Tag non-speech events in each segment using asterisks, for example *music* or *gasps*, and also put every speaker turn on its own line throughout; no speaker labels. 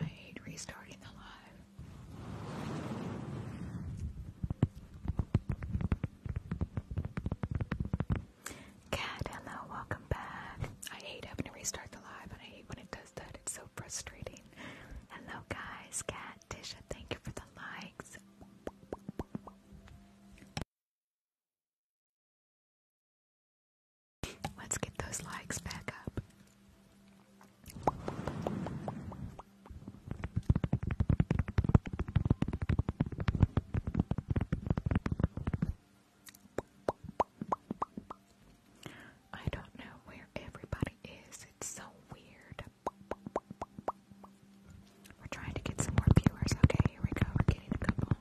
I hate restarting the live. Cat, hello, welcome back. I hate having to restart the live, and I hate when it does that. It's so frustrating. Hello guys, Cat thank you for the likes.
Let's get those likes back up. I don't know where everybody is. It's so weird. We're trying to get some more viewers. Okay, here we go. We're getting a couple.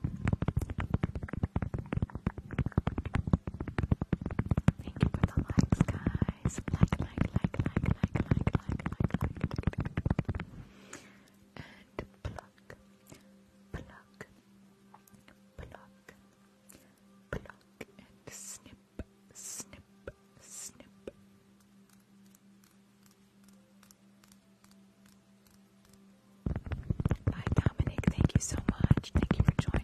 Thank you for the likes, guys. Like, like, like, like, like, like, like, like, And pluck, pluck, pluck, pluck, and snip, snip, snip, Dominic. Thank you so much. Thank you for joining.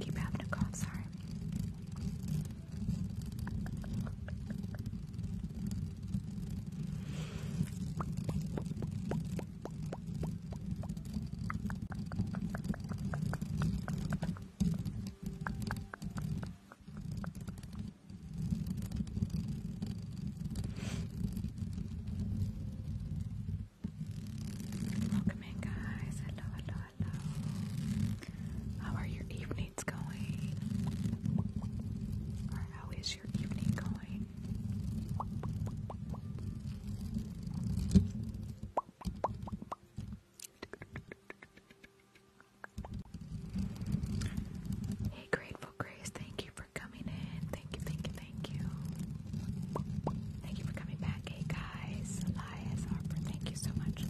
Keep having a cough, sorry. Welcome in, guys. Hello, How are your evenings going? Or how is your evening going? Hey, Grateful Grace, thank you coming in. Thank you, thank you, thank you. Thank you for coming back, hey guys. Elias Harper, thank you so much.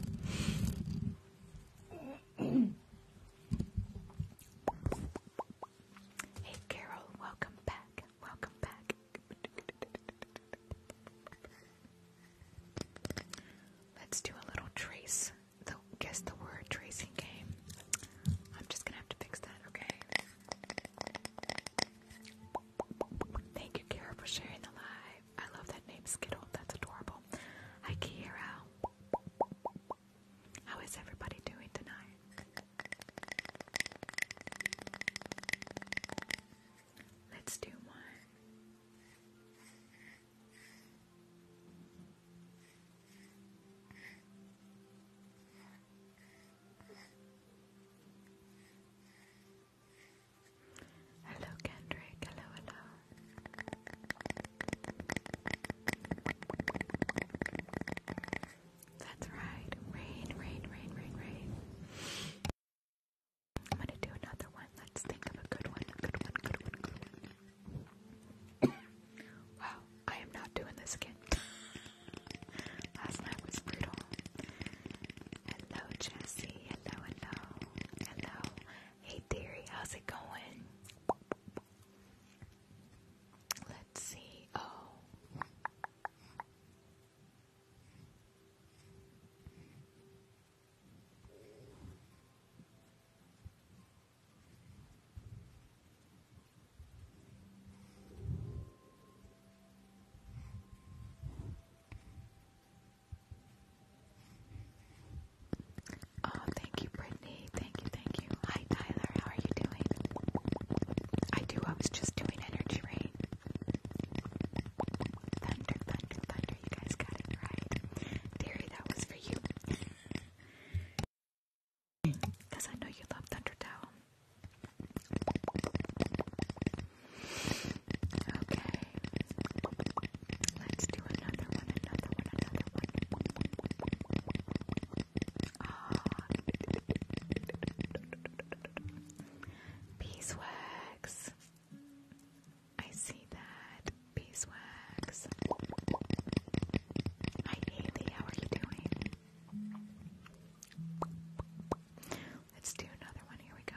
hey Carol, welcome back. Welcome back. Let's do a little trace. guess the word tracing game. I'm just gonna have to fix that, okay? Thank you, Kara, for sharing the live. I love that name, Skittle. That's adorable. Hi, Kira. How is everybody doing tonight? Let's do one. Hello, Kendrick. Hello, hello. That's right. Rain, rain, rain, rain, rain. I'm gonna do another one. Let's think of a good one. Good one. Good one. Wow, I am not doing this again. *laughs* Last night was brutal. Hello, Jesse. Hello, hello. Hello. Hey, Theory. How's it going? Let's see. Oh. Oh, thank you, Brittany. Thank you, thank you. Hi, Tyler. How are you doing? I do. I was just doing energy rain. Thunder, thunder, thunder. You guys got it right. Terry, that was for you. Because I know you love Thunderdome. Okay. Let's do another one, another one, another one. Ah. Beeswax. I see that. Beeswax. Hi how are you doing? Let's do another one. Here we go.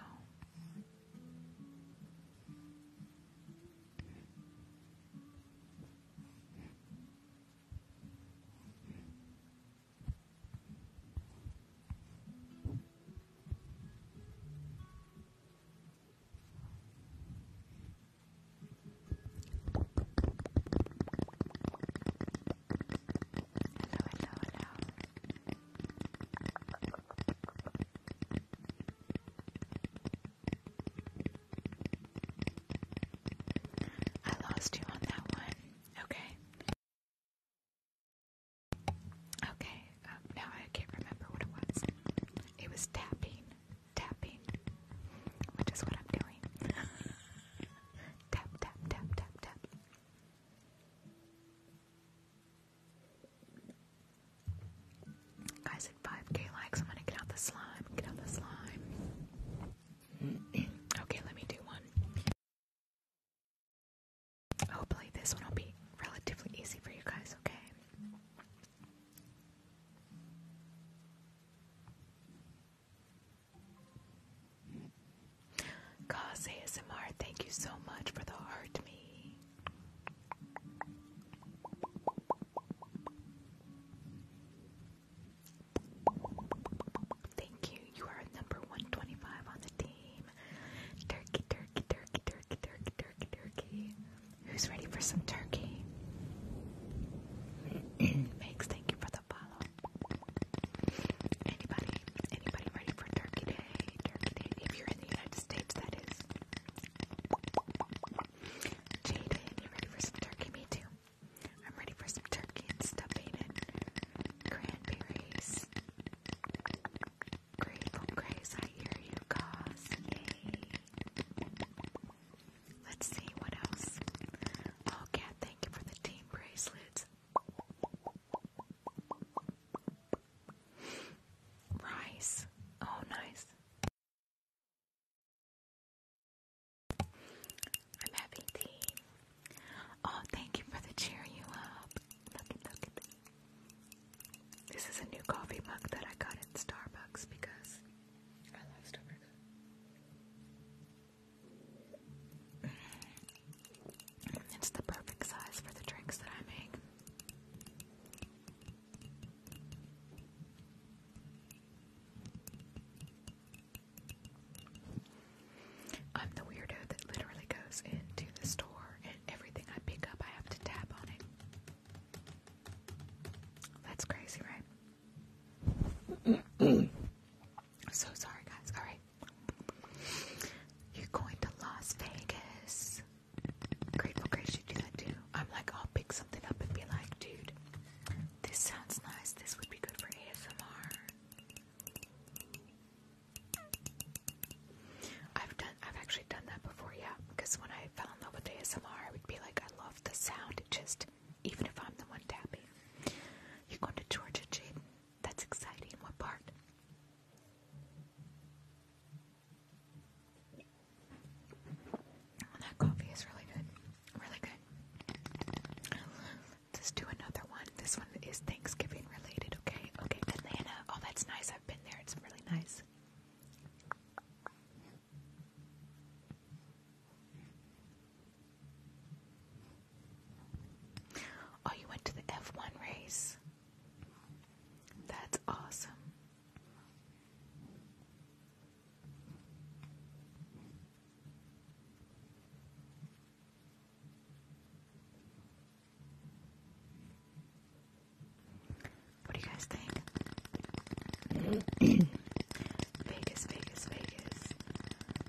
I lost you on that one. Okay. Okay, uh, now I can't remember what it was. It was tapping, tapping, which is what I'm doing. *laughs* tap, tap, tap, tap, tap. Guys, at 5k likes, I'm gonna get out the slime. Get out the slime. *clears throat* okay, let me do one. Hopefully, this one will be relatively easy for you guys, okay? Cause ASMR, thank you so much for the heart me. Thank you. You are number 125 on the team. Turkey, turkey, turkey, turkey, turkey, turkey, turkey. Who's ready for some turkey? *clears throat* Megs, thank you for the follow. Anybody, anybody ready for Turkey Day? Turkey Day, if you're in the United States, that is. Jaden, you ready for some turkey? Me too. I'm ready for some turkey and stuffing and cranberries. Grateful Grace, I hear you, cause Let's see what else. Oh, Kat, thank you for the team bracelets. Rice. Oh, nice. I'm having tea. Oh, thank you for the cheer you up. This is a new coffee mug that I got at Starbucks because I love Starbucks. It's the perfect size for the drinks that I make. I'm the weirdo that literally goes into the store and everything I pick up, I have to tap on it. That's crazy, right? *clears throat* So sorry, guys. All right. You're going to Las Vegas. Grateful Grace should do that too. I'm like, I'll pick something up and be like, dude, this sounds nice. This would be good for ASMR. I've done, I've actually done that before, yeah. Because when I fell in love with ASMR, I would be like, I love the sound. It just even if I'm the one tapping. You're going to Georgia, Jaden. That's exciting. What part? That coffee is really good. Really good. Let's do another one. This one is Thanksgiving related, okay? Okay, Atlanta. Oh, that's nice. I've been there. It's really nice. Oh, you went to the F1 race? That's awesome.
What do you guys think? *clears throat* Vegas, Vegas, Vegas.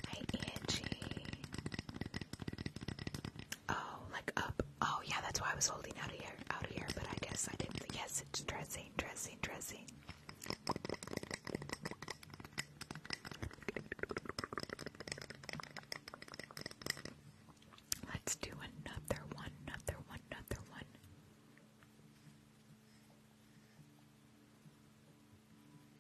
Hey, Angie. Oh, like up. Oh, yeah, that's why I was holding out of here, out of here, but I guess I didn't. Yes, it's dressing, dressing, dressing. Let's do another one, another one, another one.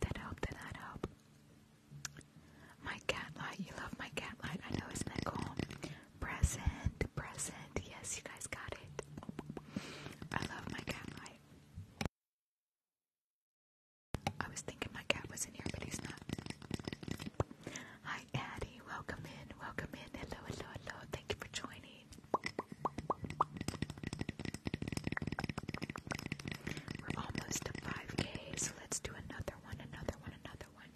Did that help? Did that help? My cat You love my cat I know, isn't Present, present. Yes, you guys got it. I love my cat I was thinking my cat was in here, but he's not. Hi, Addie. Welcome in. Welcome in. Hello, hello, hello. Thank you for joining. We're almost to 5k, so let's do another one, another one, another one.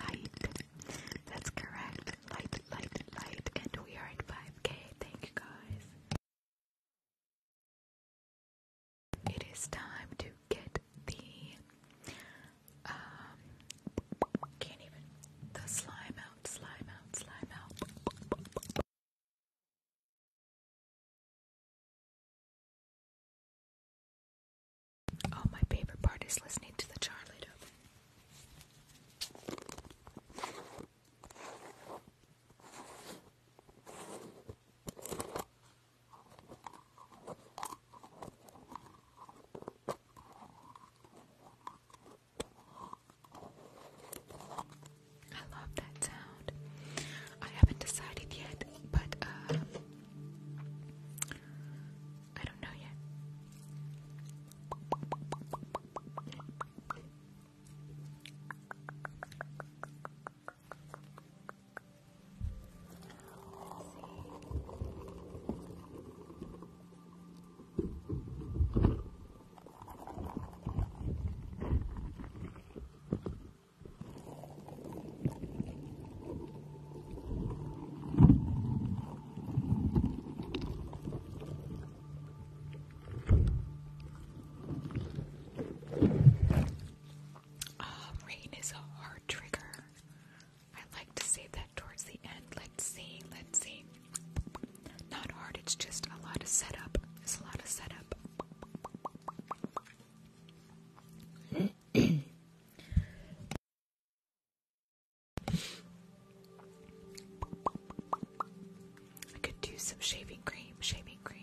Light. That's correct. Light, light, light. And we are at 5k. Thank you guys. It is time to
get the um can't even the slime out slime out, slime out. Oh, my favorite part is listening to the Charlie I love that sound. I haven't decided yet, but uh, I don't know yet.
Oh, rain is a hard trigger. I like to save that towards the end. Let's see, let's see. Not hard, it's just a lot of setup. It's a lot of setup. I could do some shaving cream, shaving cream.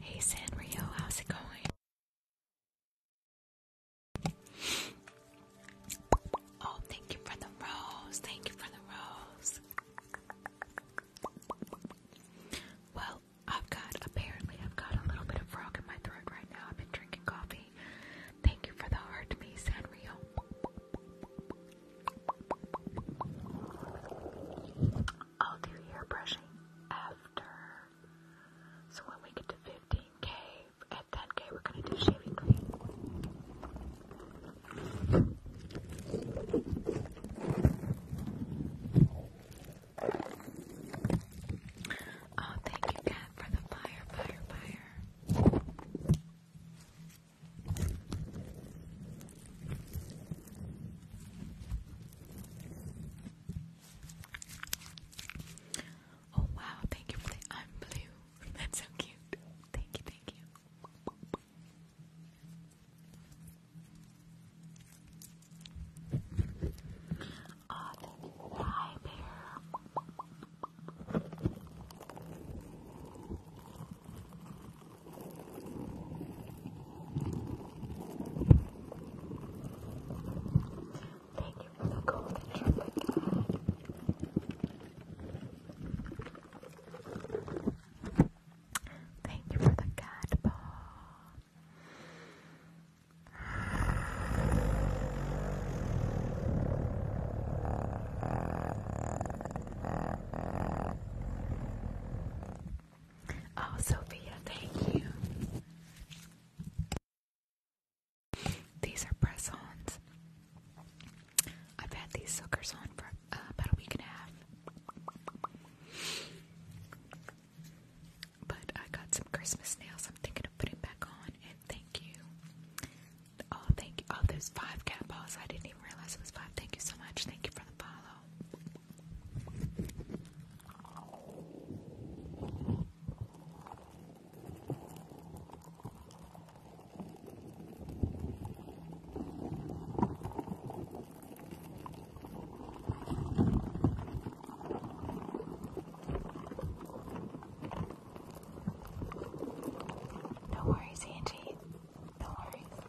Hey Sanrio, how's it going? Oh, thank you for the rose. Thank you for the rose. Well, I've got, apparently, I've got a little bit of frog in my throat right now. I've been drinking coffee. Thank you for the heart, me, Sanrio. I'll do ear brushing after. So when we get to 15k, at 10k, we're gonna do shaving cream. Oh, thank you, Kat, for the fire, fire, fire. Oh, wow, thank you for the I'm blue. *laughs* That's so cute. Thank you, thank you thank you for the high bear. trumpet. Thank you for the cat ball. Oh, Sophia, thank you. These are press ons. I've had these suckers on for uh, about a week and a half. But I got some Christmas nails. I'm thinking of putting back on. And thank you. Oh, thank you. Oh, those five cat balls. I didn't even realize it was five. Thank you so much. Thank you for the follow. No worries, Angie. No worries.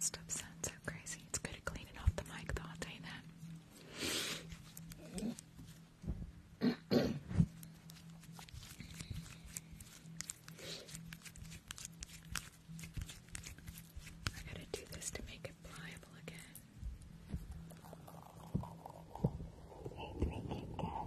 Stop sounds so crazy. It's good at cleaning off the mic, though. I'll tell I gotta do this to make it pliable again. Wait, wait, wait, cat's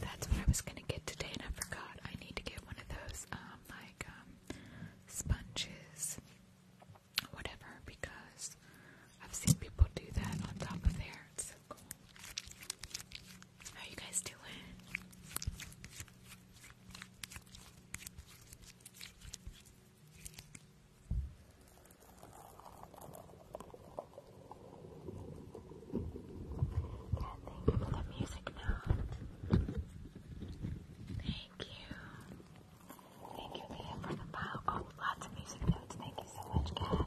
that's what I was gonna get today, and I forgot. I need to get one of those, um, like, um, sponges, whatever, because I've seen people do that on top of their. How you guys doing?
for the music now. Thank you. Thank you, Leah, for the pile. Oh, lots of music notes. Thank you so much, Kat.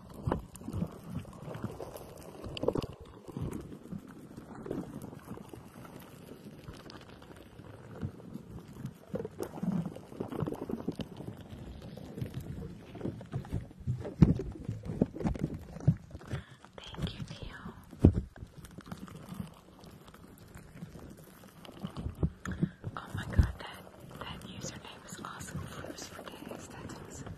Thank you, Theo. Oh my god, that that username is awesome. Fruits for days. That's awesome.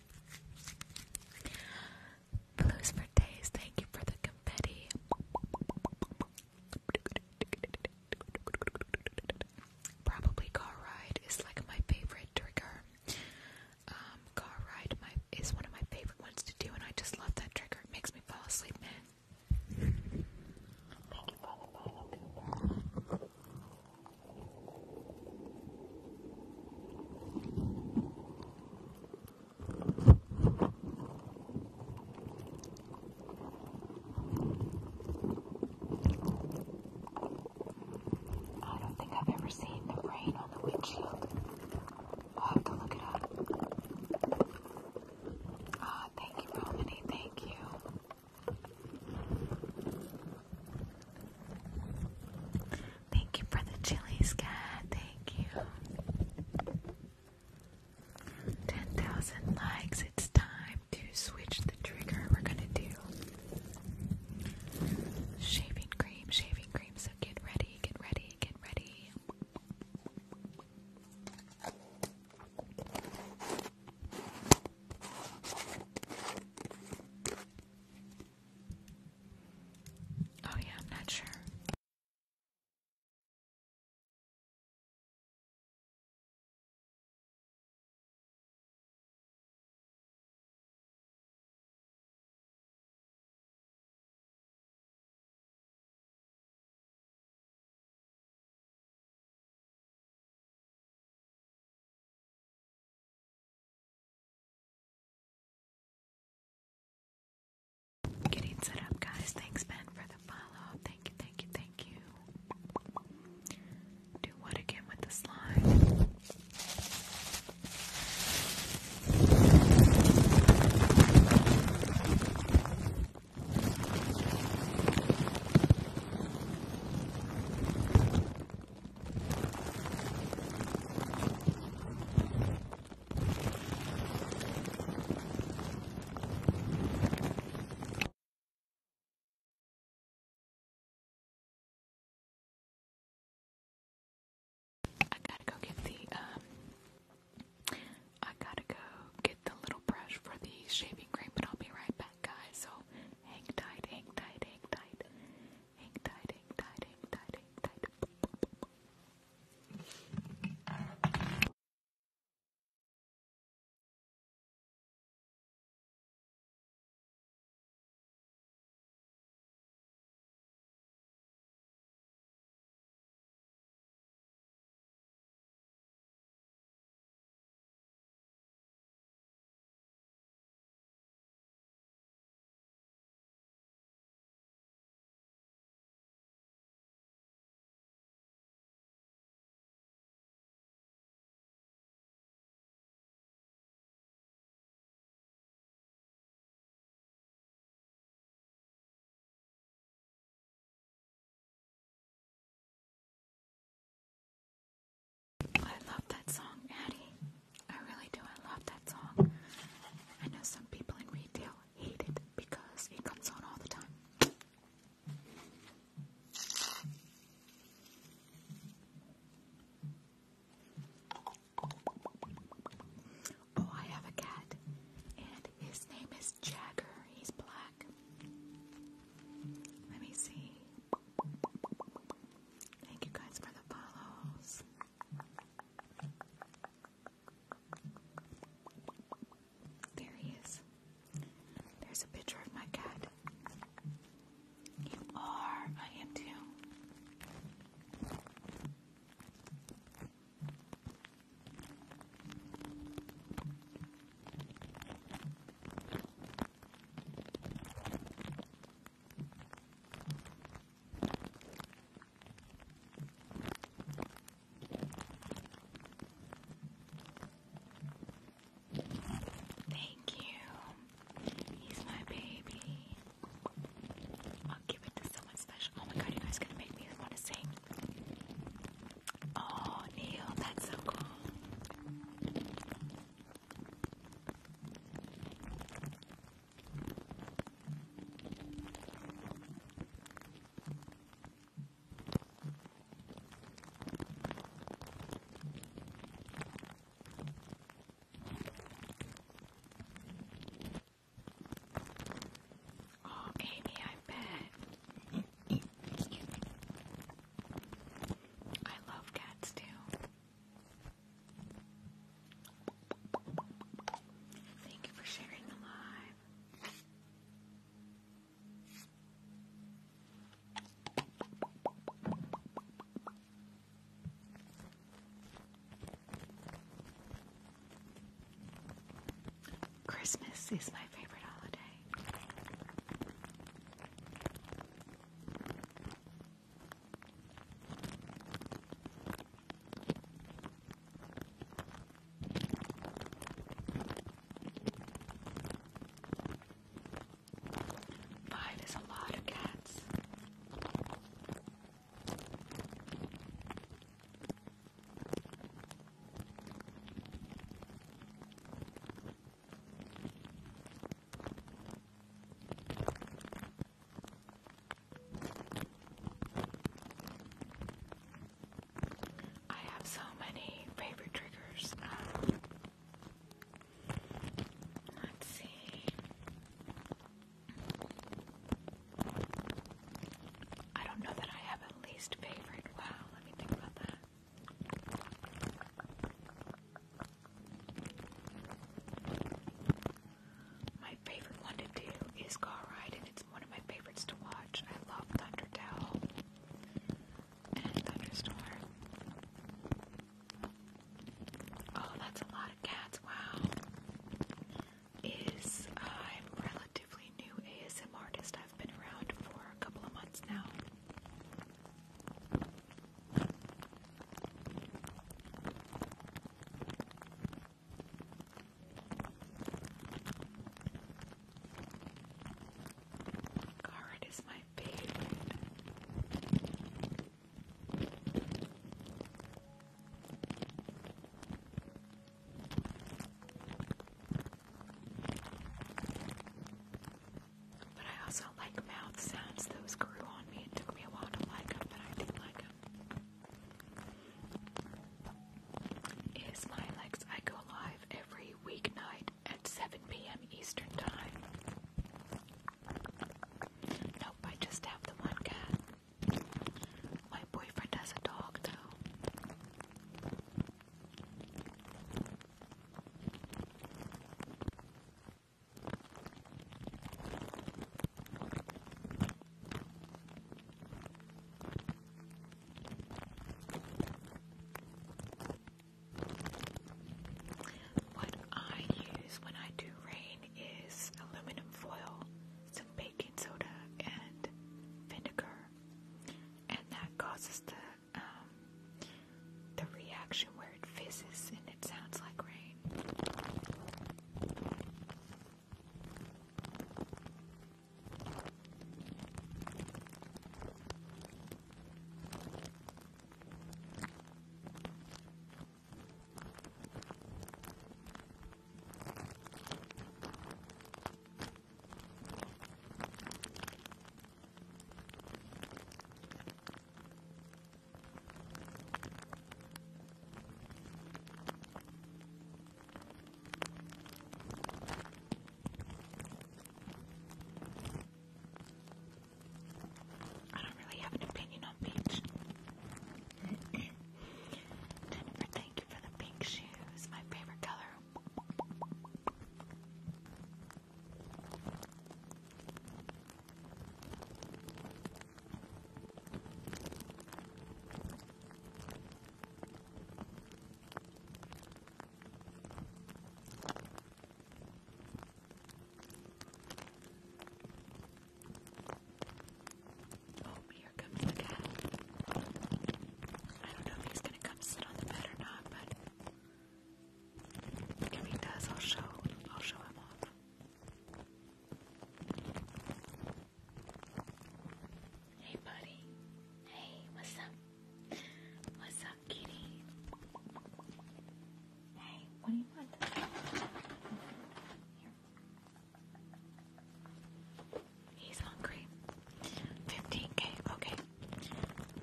Blues for days, thank you for the confetti. Probably car ride is like my favorite trigger. Um, car ride is one of my favorite ones to do, and I just love that trigger. It makes me fall asleep, man. I don't think I've ever seen the
rain on the windshield. I'll have to look it up. Ah, oh, thank you, Romany. Thank you.
Thank you for the chilies, sky. Thank you. 10,000 likes. It's time to switch the trigger. We're gonna do shaving cream, shaving cream. So get ready, get ready, get ready. Oh, yeah, I'm not sure.
Getting set up, guys. Thanks, Ben, for the follow. Thank you, thank you, thank you. Do what again with the slime? I gotta
go get the um I gotta go get the little brush for the shaving cream, but I'll be right back guys. So hang tight, hang tight, hang tight. Hang tight, hang tight, hang tight,
I love that song, Addie. I really do. I love that song.
I know some people in retail hate it because it comes on all the time. Oh, I have a cat, and his name is Jagger. He's black. Let me see. Thank you guys for the follows. There he is. There's a picture of my cat. You are. I am too. Thank you. He's my baby. I'll give it to someone special. Oh my god, you guys gonna make me want to sing. Oh, Neil, that's so cool. Oh, Amy, I bet. Excuse me. I love cats too. Thank you for sharing the live. Christmas is my favorite holiday. Five is a lot of cats. I have so many favorite triggers. Um, let's see. I don't know that I have a least favorite. Wow, let me think about that. My favorite one to do is Car Ride, and it's one of my favorites to watch. I love Thunderdell and Thunderstorm. Oh, that's a lot of cats, wow. Is I'm relatively new ASM artist. I've been around for a couple of months now. Card is my favorite. But I also like mouth sounds. Those grew on me. It took me a while to like them, but I did like them. It's my legs. I go live every weeknight at 7 p.m. Eastern Time. Nope, I just have the one cat. My boyfriend has a dog, though. What I use when I do rain is aluminum foil, some baking soda, and vinegar, and that causes the um, the reaction where it fizzes and it sounds like rain. I don't really have an opinion on beach. *coughs* Jennifer, thank you for the pink shoes, my favorite color. Oh, here comes the cat. I don't know if he's gonna come sit on the bed or not, but if he does, I'll show I'll show him off. Hey, buddy. Hey, what's up? What's up, kitty? Hey, what do you want? He's hungry. 15k, okay.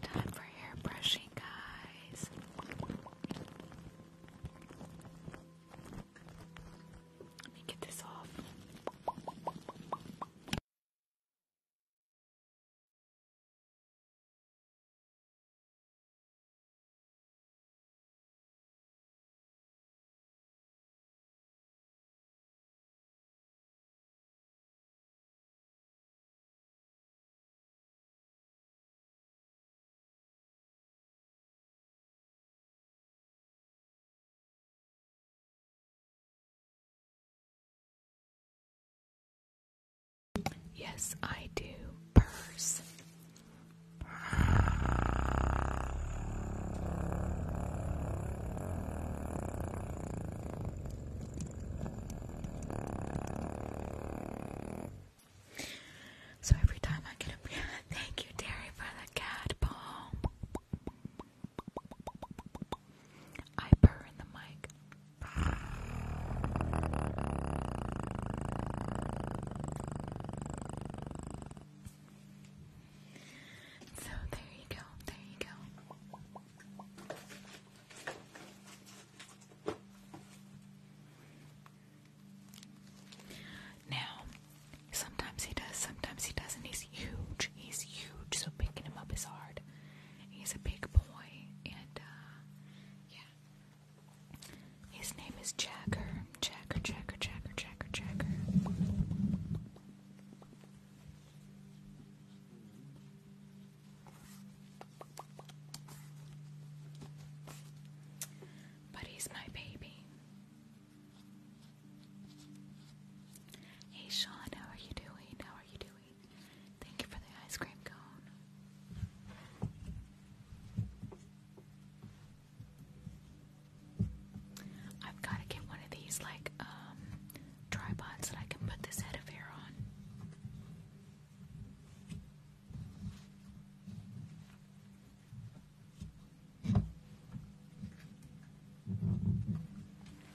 Time for hair brushing, guys.
Let me get this off. Yes, I do. Purse.
So every time I get a *laughs* thank you, Terry, for the cat bomb. I burn the mic. So there you go, there you go. Now, sometimes he does, sometimes he doesn't. He's huge. He's huge, so picking him up is hard. He's a big boy, and uh, yeah. His name is Jagger. Jagger, Jagger, Jagger, Jagger, Jagger. But he's my baby. Hey Sean, how are you doing? How are you doing? Thank you for the ice cream cone. I've got to get one of these, like, um, tripods that I can put this head of hair on.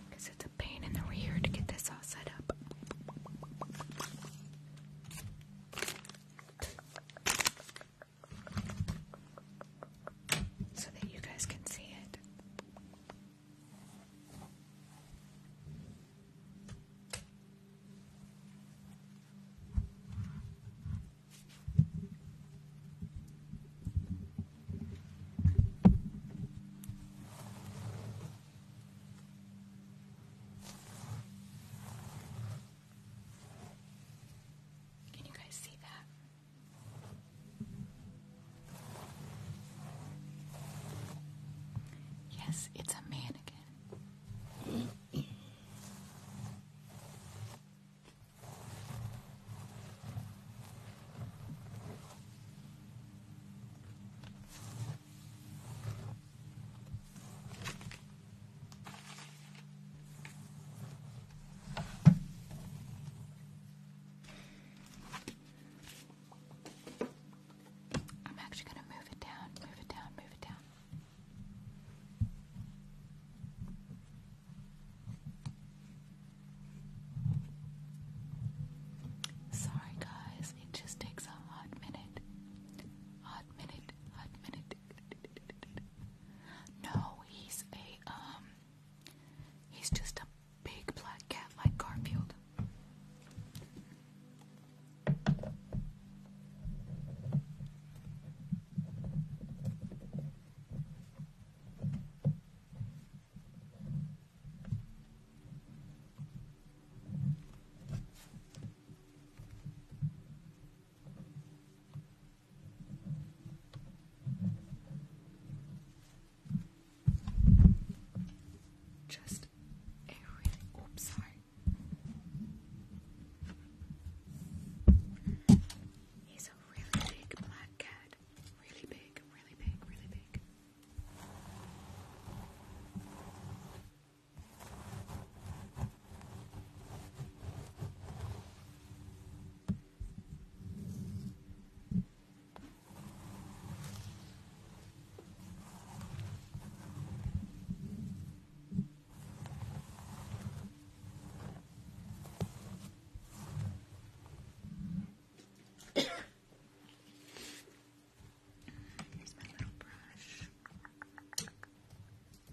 Because it's a pain in the rear to get this all set up. So that you guys can see it. Can you guys see that? Yes, it's a mannequin. I'm actually going to move it down, move it down, move it down. Sorry guys, it just takes a hot minute. Hot minute, hot minute. No, he's a um he's just a big black cat like Garfield. Just a really oops sorry He's a really big black cat. Really big, really big, really big. Here's my little brush. Thank you.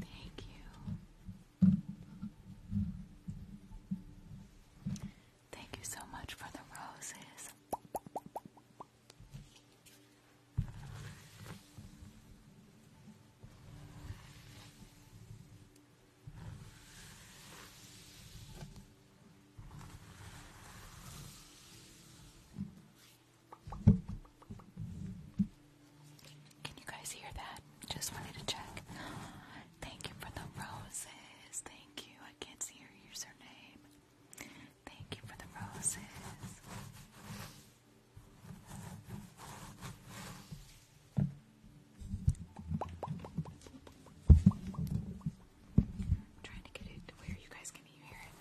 Thank you. Thank you so much for the roses. Can you guys hear that? Just wanted to check. Thank you for the roses. Thank you. I can't see your username. Thank you for the roses. I'm trying to get it to where you guys can hear it.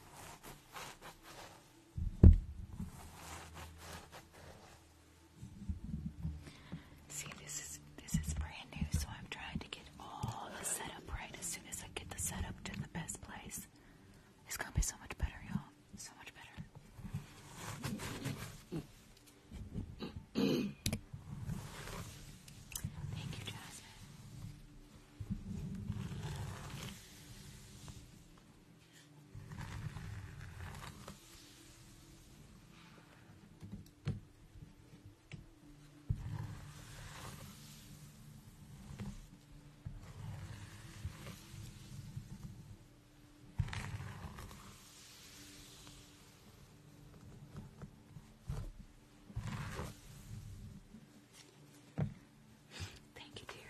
See, this is this is brand new, so I'm trying to get all the setup right. As soon as I get the setup to the best place, it's gonna be so much better, y'all. So much better. Thank you, Jasmine. Thank
you, dearie.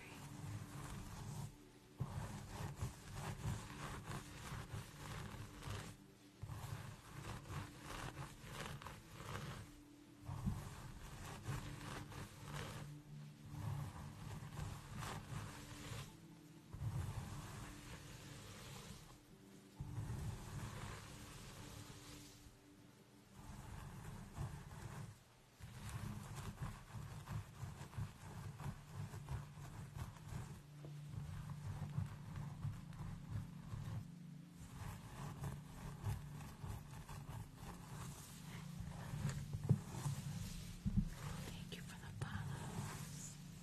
Thank you for the follows.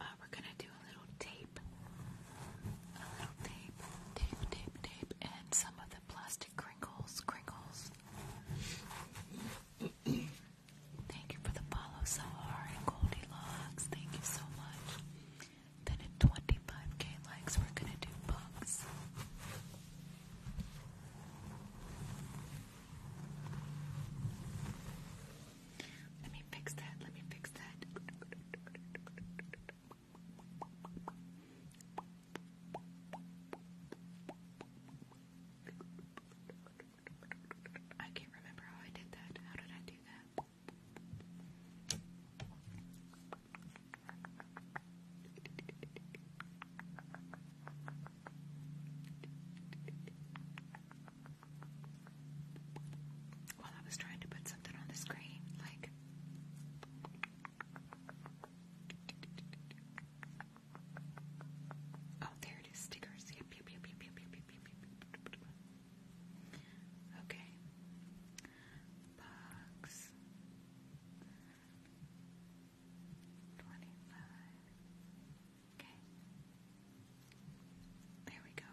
Uh, we're gonna do a little tape, a little tape, tape, tape, tape, and some of plastic crinkles, crinkles. Thank you for the follow, Sahar and Goldilocks. Thank you so much. Then at 25k likes, we're gonna do
bugs. Let me fix that. Let me fix that. I
can't remember how I did that. How did I do that? While I was trying to put something on the screen, like Oh, there it is. Stickers. Yep, yep, yep, yep, yep, yep, yep, yep. Okay. Box. Twenty-five. Okay. There we go.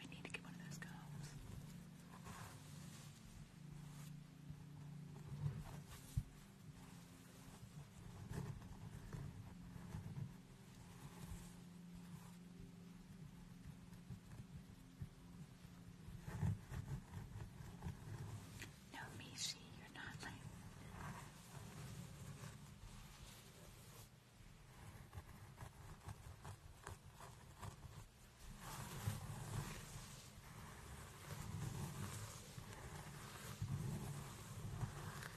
I need to get one of those combs. No, Mishi, you're not late.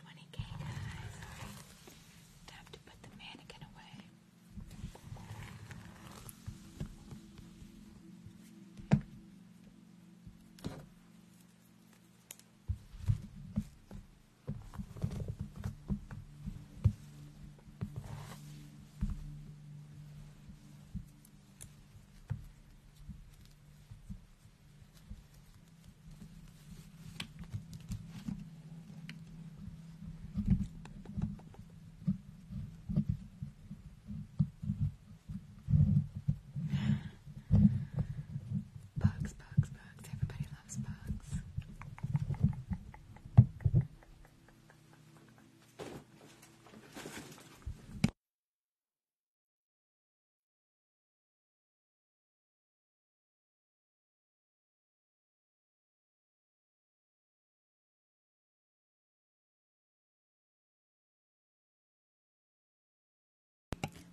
20k guys. Time to put the mannequin away. Bugs, bugs, bugs. Everybody loves bugs.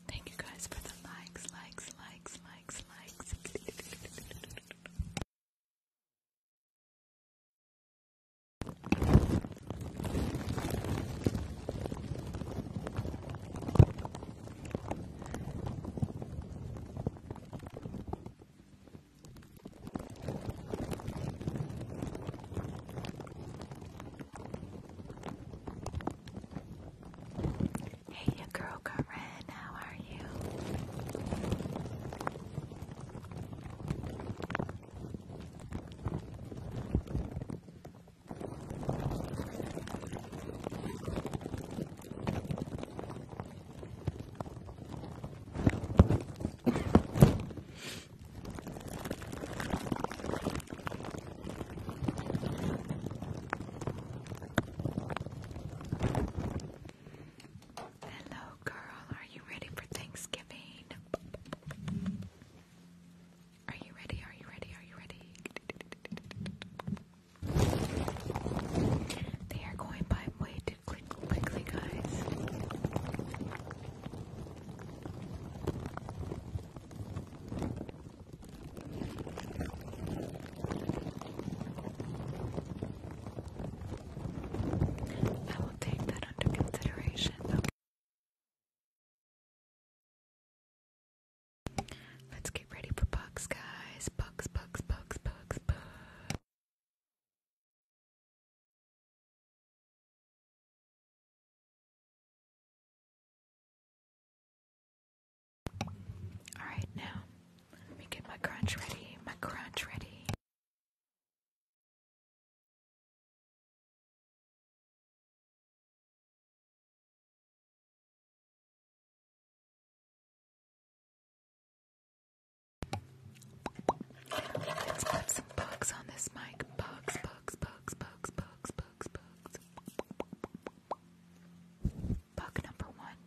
Thank you guys for the likes, likes, likes, likes, likes. Hey, you girl, Karen, how are you? Hello, girl. Are you ready for Thanksgiving? Are you ready? Are you ready? Are you ready? They are going by way too quick, quickly, guys. I will take that under consideration. Let's get ready for bugs, guys. Bugs, bugs, bugs, bugs, bugs. All right, now let me get my crunch ready. My crunch ready. Let's put some bugs on this mic. Bugs, bugs, bugs, bugs, bugs, bugs, bugs. Bug number one.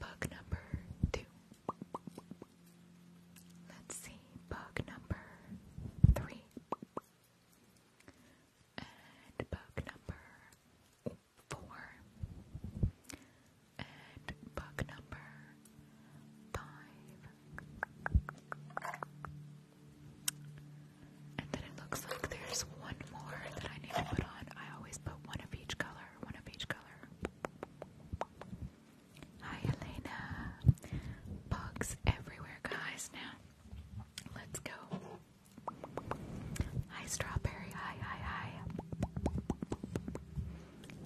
Bug number two. Let's see, bug number three.
And bug number four. And bug number five. And then it looks like there's one more that I need to put on. I always put one of each color, one of each color. Hi, Elena. Bugs everywhere, guys. Now, let's go. Hi, Strawberry. Hi, hi, hi.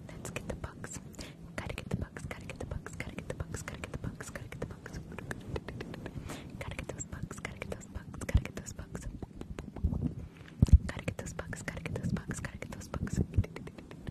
Let's get the bugs. Gotta get the bugs, gotta get the bugs, gotta get the bugs, gotta get the bugs, gotta get the bugs. Gotta get those bugs, gotta get those bugs. Gotta get those bugs, gotta get those bugs, gotta get those bugs. Gotta get those bugs.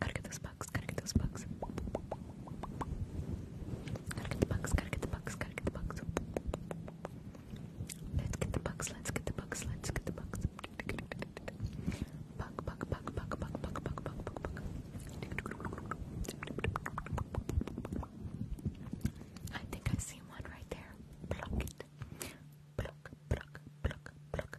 Gotta get those bugs, gotta get those bugs. Gotta get the bugs, gotta get the bugs, gotta get the bugs. Let's get the bugs, let's get the bugs, let's get the bugs. Bug, bug, bug, bug, bug, bug, bug, bug, bug, bug. I think I see one right there. Pluck it. Pluck, pluck, pluck, pluck.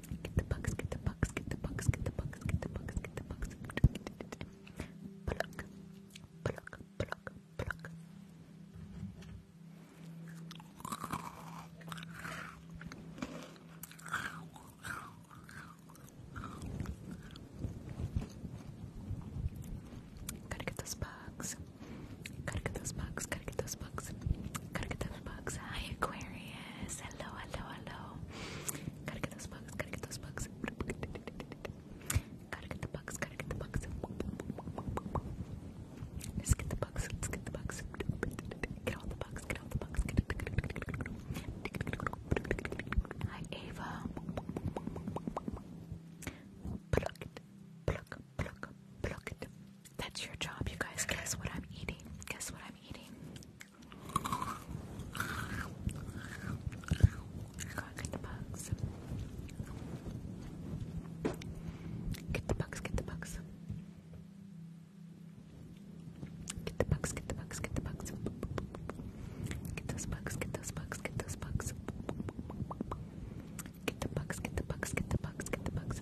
Get the bugs, get the bugs, get the bugs, get the bugs, get the bugs, get the bugs. Pluck, pluck, pluck, pluck. Gotta get those bugs. Gotta get those bugs. Gotta get those bugs. Gotta get those Hi, Aquarius. Hello, hello, hello. Gotta get those books. Gotta get those books. Gotta get the books. Gotta get the books. Let's get the books. Let's get the books. Get all the books. Get all the books. Hi, Ava. That's your job, you guys. Guess what I'm eating? Guess what I'm eating? God, get Get the bugs, get the bugs. Get the bugs, get the bugs, get the bugs. Get the bugs, get the bugs, get the bugs, get the bugs. Get the bugs, get the bugs, get the bugs.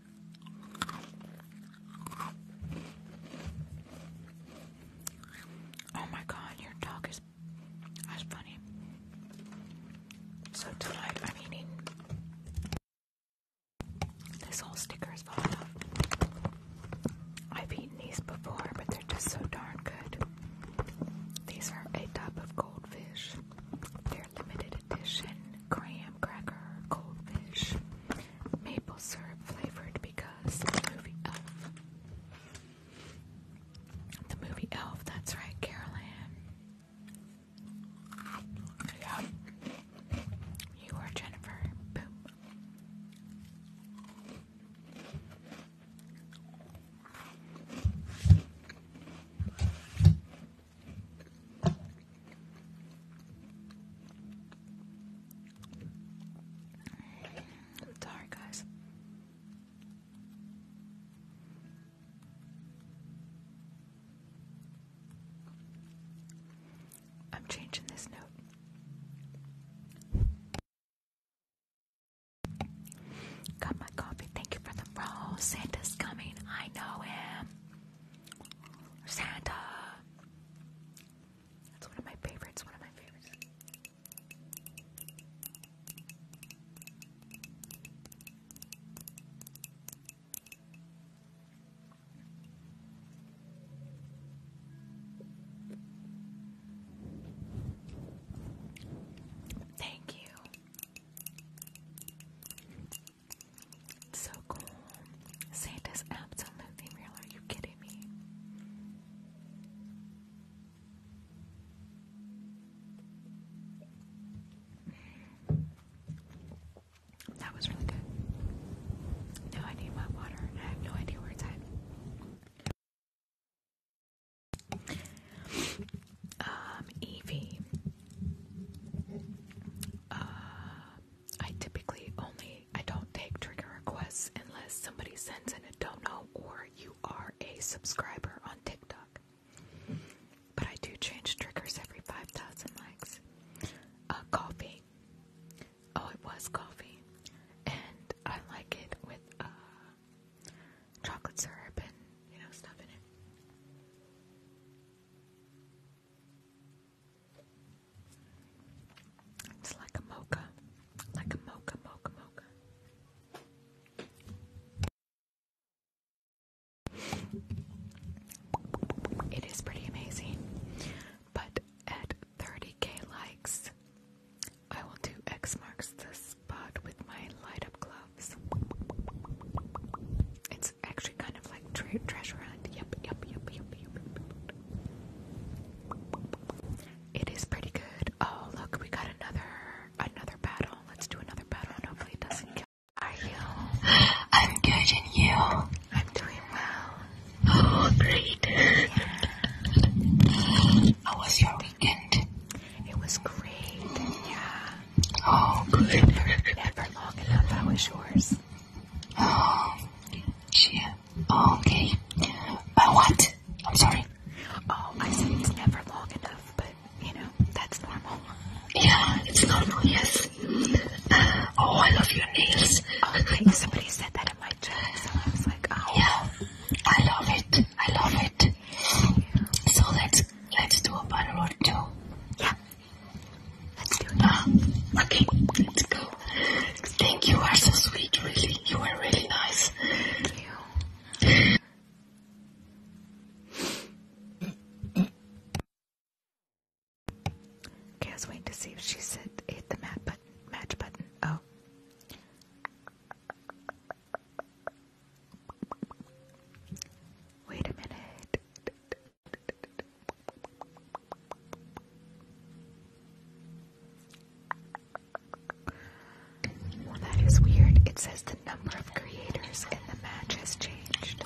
Oh my god, your dog is So tonight I'm eating this whole sticker is falling off. I've eaten these before, but they're just so darn good. These are a type of goldfish. They're limited edition graham cracker goldfish maple syrup flavored because the movie Elf. The movie Elf, that's right, Carolyn. Yeah. You are Jennifer. Boom i guys. I'm changing this note. Got my coffee. Thank you for the rose. Santa's coming. I know him. Santa. That's one of my favorites, one of my favorites. Thank you. It's so cool. Santa's absolutely real. Are you kidding me? That was really good. No, I need my water. I have no idea where it's at. Um, Evie. Uh, I typically only I don't take trigger requests unless somebody sends in a dono or you are a subscriber on TikTok. But I do change triggers every 5,000 likes. A uh, coffee. Oh, it was coffee. And I like it with uh, chocolate syrup and, you know, stuff in it. It's like a mocha, like a mocha, mocha, mocha. It is pretty amazing, but at 30k likes, I will do X marks the spot with my light up gloves. It's actually kind of like like tre treasure hunt. Yep, yep, yep, yep, yep, yep.
It is pretty good. Oh, look, we got another another battle. Let's do another battle, and hopefully it doesn't kill. How are you? I'm good, and you? I'm doing well. Oh, *gasps* great. Yeah. How was your weekend? It was great.
Yeah. Oh, good. Never, never long enough. How was yours? Oh, yeah. Okay. Uh, what? I'm sorry. Oh, I said it's never long enough, but you know, that's normal. Yeah, it's normal, yes. Uh, oh, I love your nails. Oh, like somebody said that in my chat, so I was like, oh. Yeah, I
love it. I love it. So let's let's do a butter or two. Yeah. Okay, let's go. Thank you. You are so sweet, really. You are really nice. Okay,
I was waiting to see if she said hit the mat button, match button. Oh. Wait a minute that is weird. It says the number of creators in the match has changed.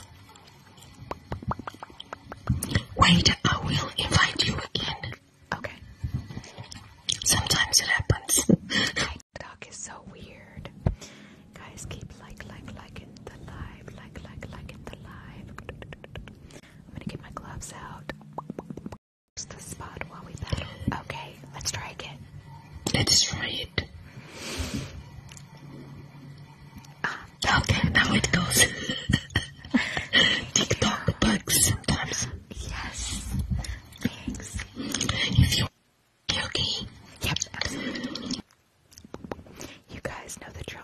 Wait, I will invite you again. Okay. Sometimes it happens. TikTok is so weird. Guys, keep like, like, liking the live, like, like, liking the live. I'm gonna get my gloves out. the spot while we battle? Okay, let's try again. Let's try it.
Ah. okay, now it goes. *laughs* TikTok bugs sometimes. Yes. Thanks. If you
okay. Yep. You guys know the drill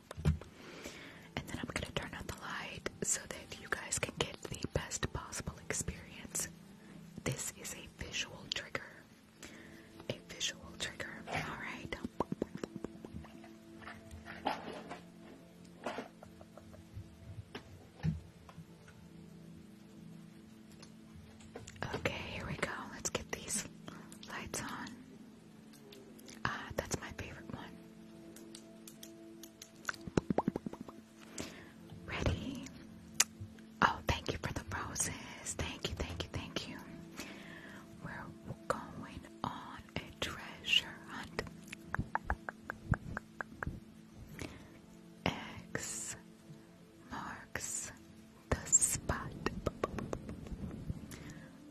And then I'm gonna turn on the light so that you guys can get the best possible experience. This is a visual trigger. A visual trigger, alright? Okay, here we go. Let's get these lights on. Ah, that's my favorite one. Ready? Oh, thank you for the roses. Thank you, thank you, thank you. We're going on a treasure hunt. X marks the spot.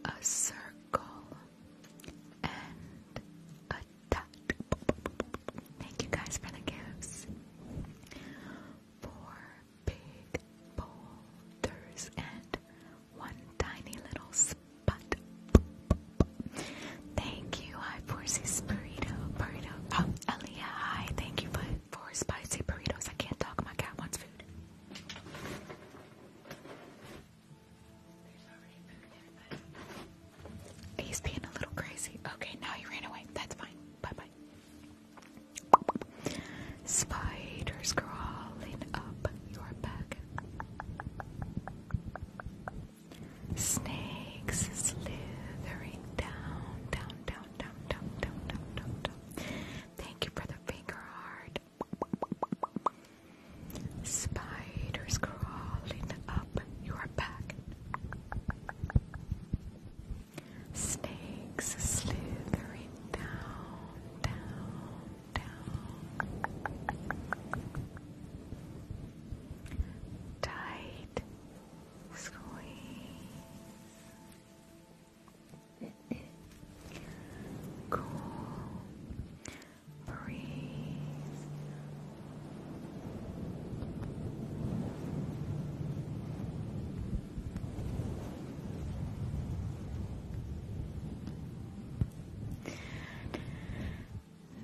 A circle and a dot. Thank you guys for the gifts. Four big boulders and one tiny little spot. Thank you. Hi, Forces Burrito. Burrito. Elia. Oh, hi. Thank you for, for spicy burritos. I can't talk. My cat wants food. He's being a little crazy. Okay, now he ran away. That's fine. Bye bye. Spiders crawling up your back. Snakes slithering down, down, down, down, down, down, down, down, down. Thank you for the finger heart. Spiders crawling up your back. Snakes slithering down, down, down. Tight squeeze cool breeze.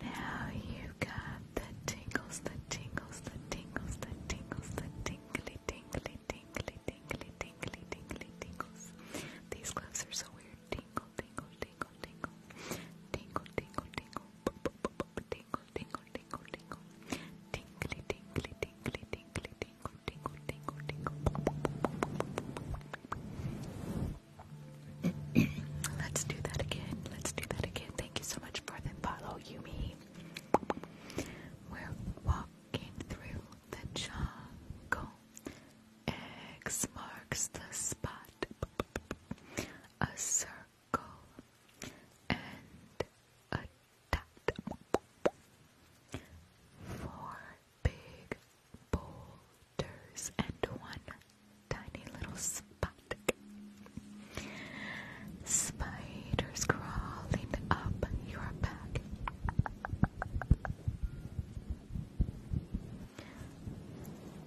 Now you got the tingles, the tingles, the tingles, the tingles, the tingly, tingly, tingly, tingly, tingly, tingly, tingles. These gloves are so weird tingle, tingle, tingle, tingle, tingle, tingle, tingle, tingle, tingle, tingle, tingle, tingly, tingly, tingly, tingly, tingle, tingle, tingle, tingle. Let's do that again. Let's do that again. Thank you so much for the follow, Yumi. We're walking through the jungle. X marks the spot, a circle, and a dot. Four big boulders and one tiny little spot. Spiders crawling up your back.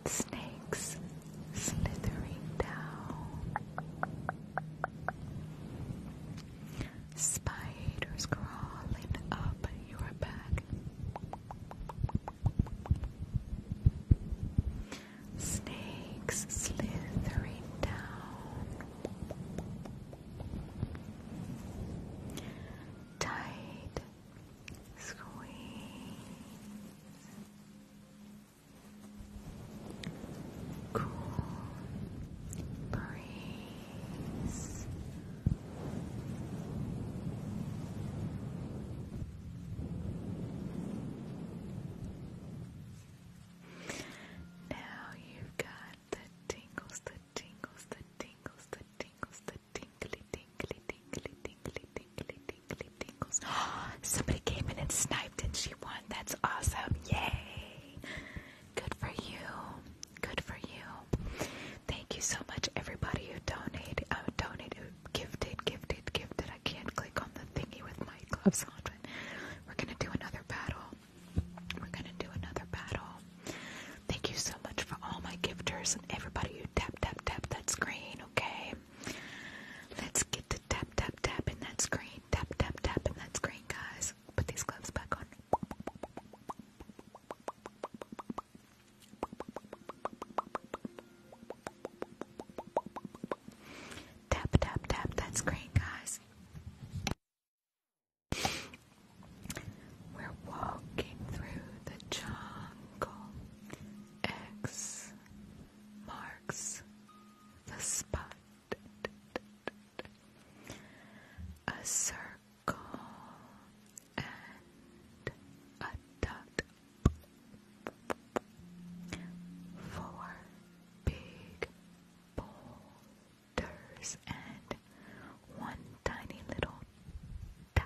Snakes slithering down. Spiders crawling up your back. Snakes slithering down. Tight
Squeeze. Cool breeze.
Now you've got the tingles, the tingles, the tingles, the tingles, the good tingly, tingly, tingly, tingly, tingly, tingly, tingles. *gasps* Somebody came in and sniped and she won. That's awesome. Yay! Good for you. Good for you. Thank you so much, everybody who donated, uh, donated, gifted, gifted, gifted. I can't click on the thingy with my gloves on. We're gonna do another battle. We're gonna do another battle. Thank you so much for all my gifters and everybody who tap tap tap that screen, okay? Let's get to tap tap tap in that screen. Tap tap tap in that screen, guys. Put these gloves back on. Tap tap tap that screen, guys. We're walking through the jungle. X marks the spot. A circle and a dot. Four big boulders and one tiny little dot.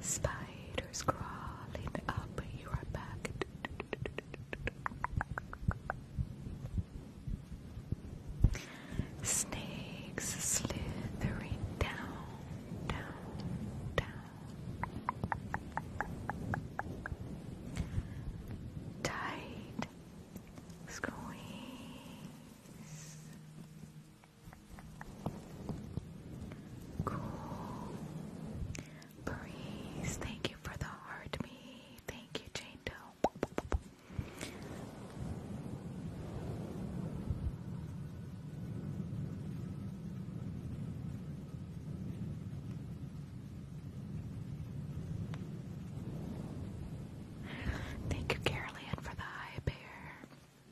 Spiders crawling up your back. Snakes slithering down, down, down. Tight squeeze. Cool. Breeze, thank you for the heart Thank you, Jane Doe. Thank you, Carolyn, for the high bear.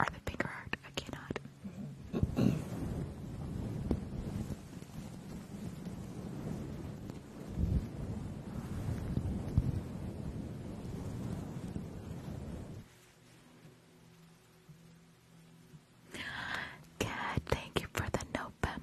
Or the bigger art. I cannot. Cat, thank you for the November.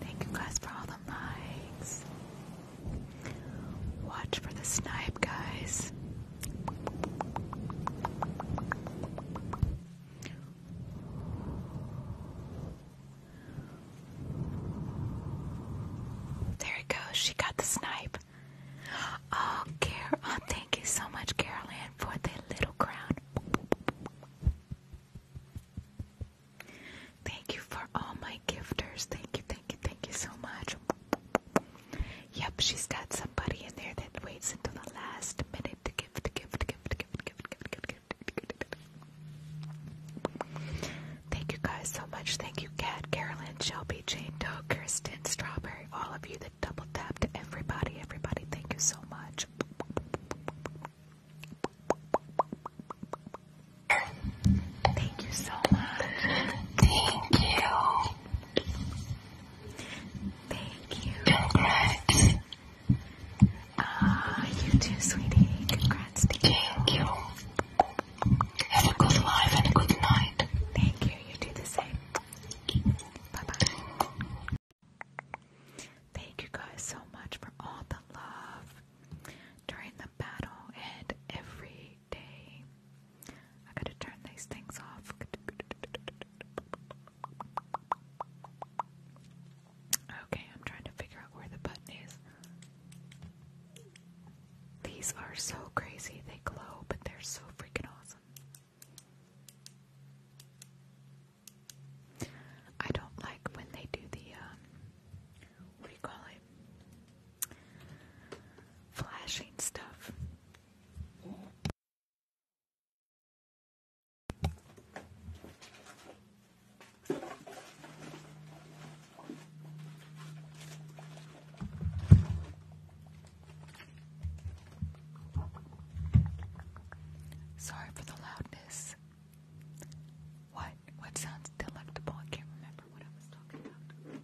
Thank you guys for all the likes. Watch for the snipe, guys. There it goes. She got the snipe. Oh, Carol, oh, thank you so much, Carol for the little crown. Thank you for all my gifters. Thank you, thank you, thank you so much. Yep, she's got somebody in there that waits until the last minute to give, to give, to give, to give, to give, to give, to give, to give. Thank you guys so much. Thank you, Kat, Carolyn, Shelby, Jane Doe, Kristen, Strawberry, all of you that double tapped. Everybody, everybody, thank you so much. Thank you so much. Thank you. Thank you. Congrats. Ah, you too, sweetie. Congrats Thank you. Have a good life and a good night. Thank you. You do the same. Bye bye. Thank you guys so much for all the love during the battle and every day. I gotta turn these things off. Okay, I'm trying to figure out where the button is. These are so crazy. They glow, but they're so freaking awesome. I don't like when they do the um, what call it?
Flashing stuff.
Sorry for the loudness. What? What sounds delectable? I can't remember what I was talking about.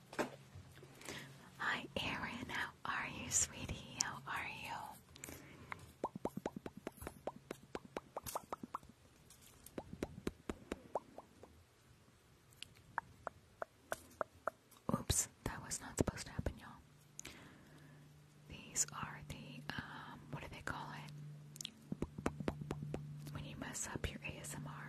Oops. Oh, Hi, Erin. How are you, sweetie? How are you? Oops, that was not supposed to happen, y'all. These are the, um, what do they call it? When you mess up your ASMR.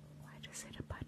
I just hit a button.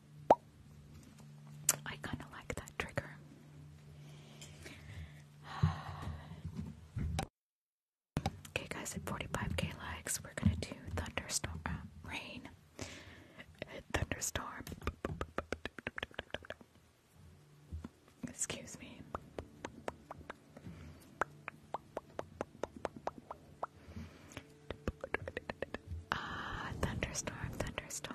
I kind of like that trigger. okay, guys, at 45k likes, we're gonna do thunderstorm uh, rain, thunderstorm. Excuse me. Ah, thunderstorm, thunderstorm.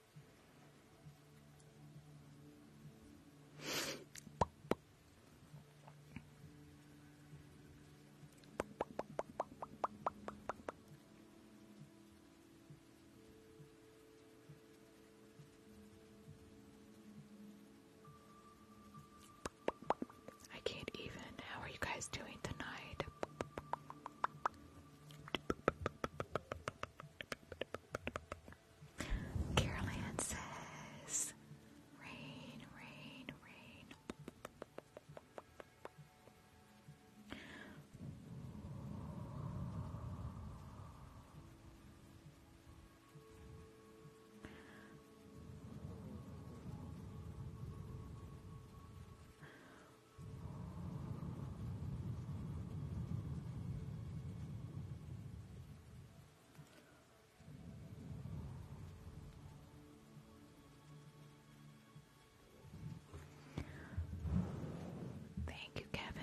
I can't even. How are you guys doing tonight? Carol Ann says, rain, rain, rain. Thank you, Kevin.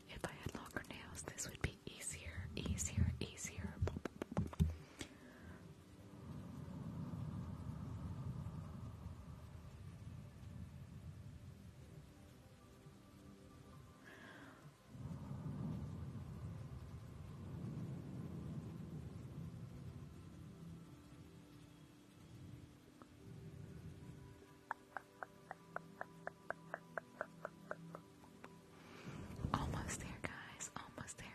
If I had longer nails, this would be easier, easier, easier. Almost there, guys. Almost there.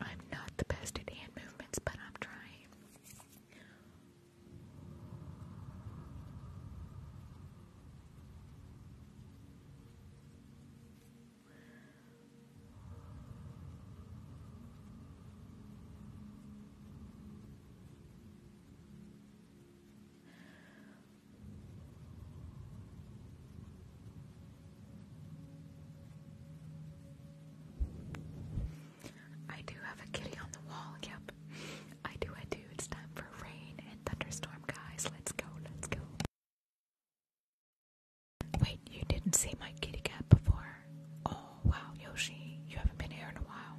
I'm not the best at hand movements, but I'm trying. I do have a kitty on the wall, yep. I do, I do. It's time for rain and thunderstorm, guys. Let's go, let's go. Wait,
you didn't see my kitty cat before? Oh, wow, Yoshi, you haven't been here in a while.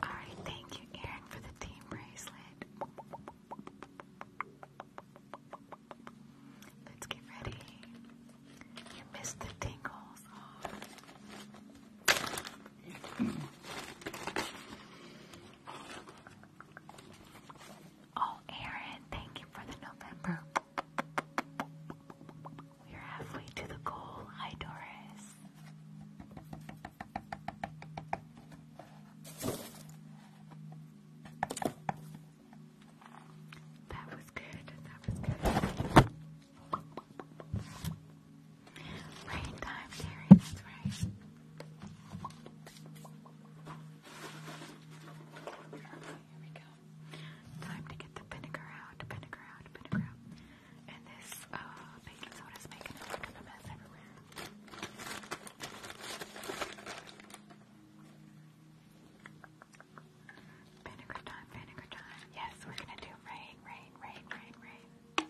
All right, thank you, Aaron, for the team bracelet. Let's get ready. You missed the tingles. Oh, Aaron, thank you for the November. We're halfway to the goal. Hi, Doris. That was good. That was good. Rain time, Carrie, that's right. here we go. Time to get the vinegar out, vinegar out, vinegar out. And this uh, baking soda is making a mess everywhere. Vinegar time, vinegar time. Yes, we're gonna do rain, rain, rain, rain, rain.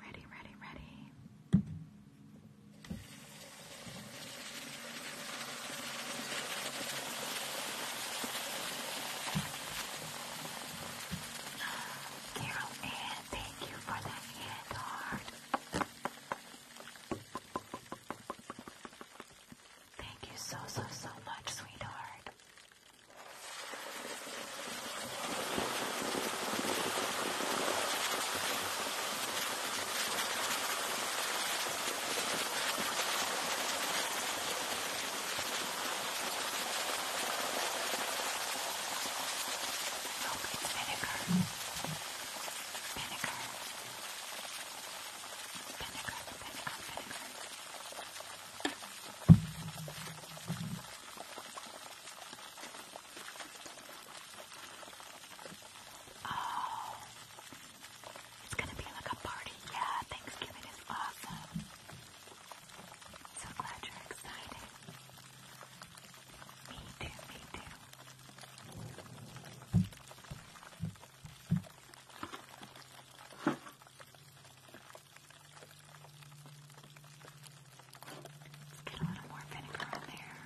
Ready, ready, ready. Carol Ann, thank you for that hand heart. Thank you so, so, so much, sweetheart. Nope, oh, it's vinegar vinegar, vinegar, vinegar, vinegar. Oh, it's gonna be like a party. Yeah, Thanksgiving is awesome. So glad you're excited. Me too, me too. Let's get a little more vinegar on there.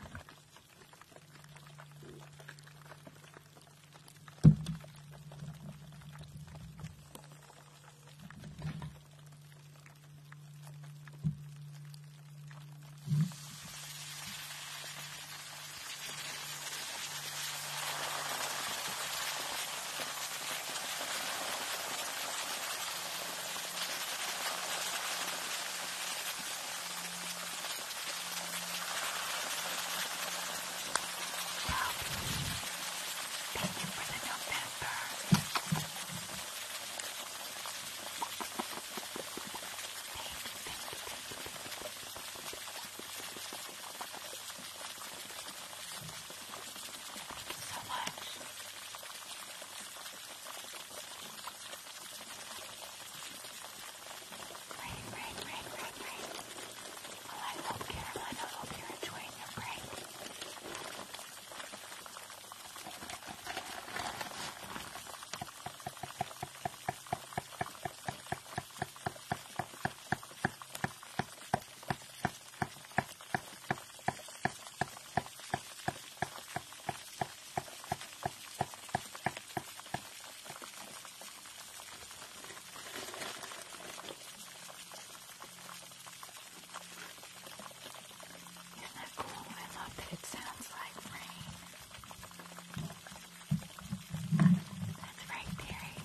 Thank you for the November
so much. Great, great, great, great, great. Well, I hope, Caroline, I hope you're enjoying your break. Isn't that cool? I love that it sounds like rain. That's right, Terry.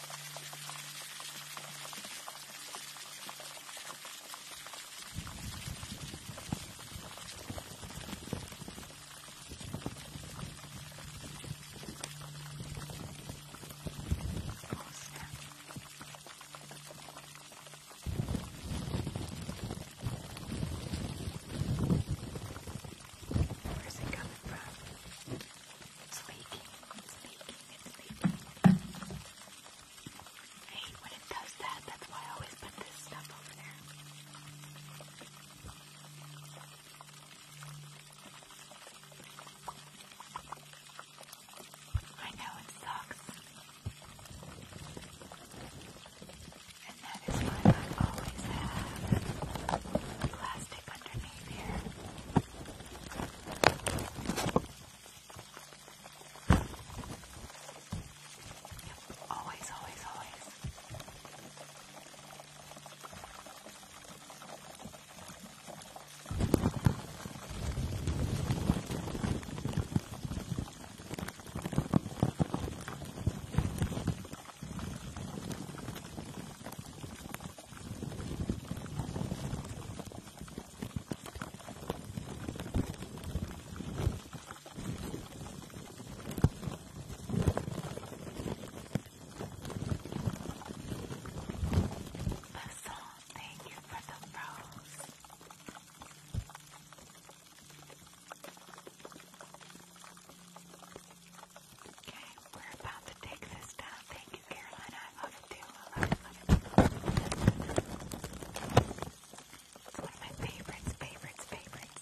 Where's it coming from? It's leaking. It's leaking. It's leaking. I hate when it does that. That's why I always put this stuff over there. I know it sucks. And that is why I always have plastic underneath. Yep, always, always, always. Basil, thank you for the rose. Okay, we're about to take this down. Thank you, Carolina. It's one of my favorites, favorites, favorites.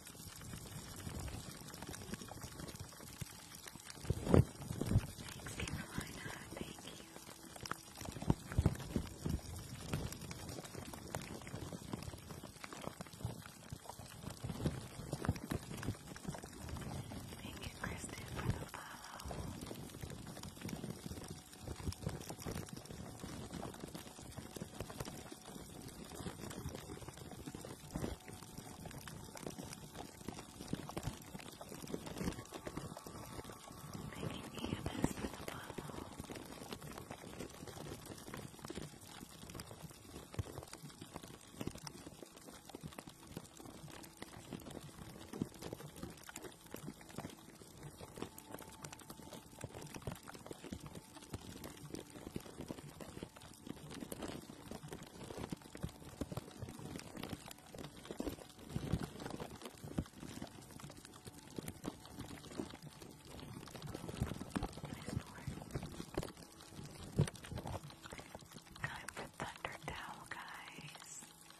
Thanks, Carolina. Thank you. Thank you, Kristen, for the follow. Making EMS with a bottle. Thank you Time for Thunder Towel, guys. Thunder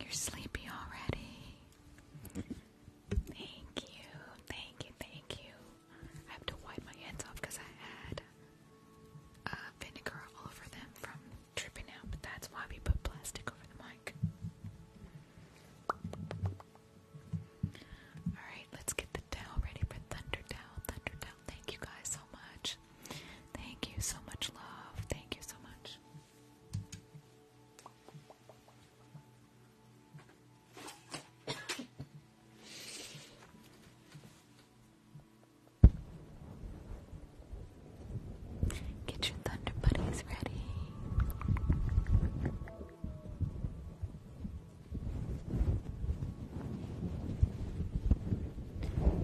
You're sleepy already. thank you,
thank you, thank you. I have to wipe my hands off because I had uh, vinegar all over them from tripping out, but that's why we put plastic over the mic. Alright, let's get the towel ready for Thunder Towel. thank you guys so much. Thank you so much, love. Thank you so much. Get your thunder buddies ready.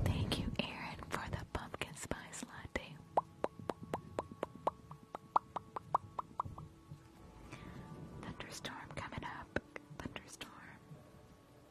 Thank you, Aaron, for the pumpkin spice latte. Thunderstorm coming up. Thunderstorm.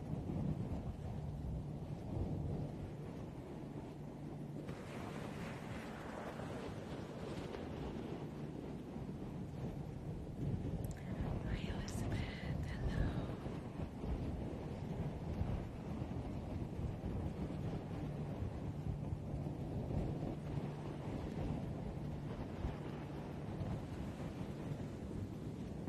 Hi Elizabeth, hello.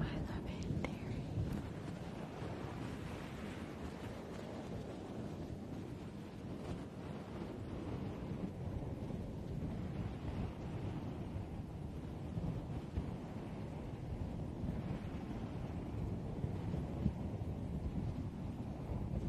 I love it, Terry. I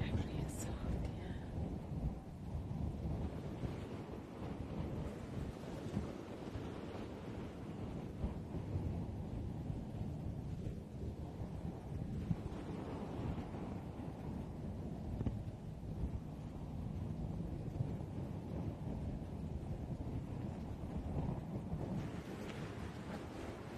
Actually, it's soft, yeah.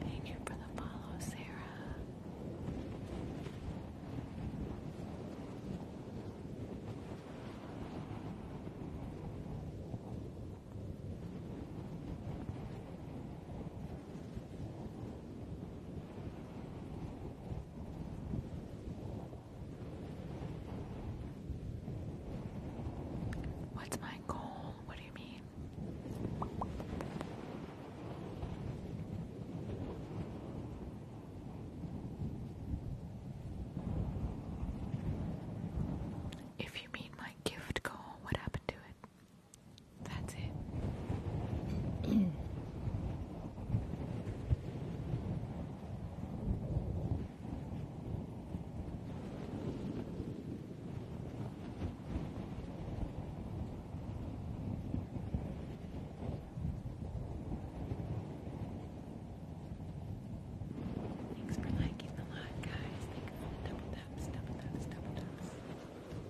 Thank you for the follow, Sarah.
What's my goal? What do you mean? me. If you mean my gift goal, what happened to it? That's it.
Thanks for liking the live, guys. Thanks for the double taps, double taps, double taps. Thank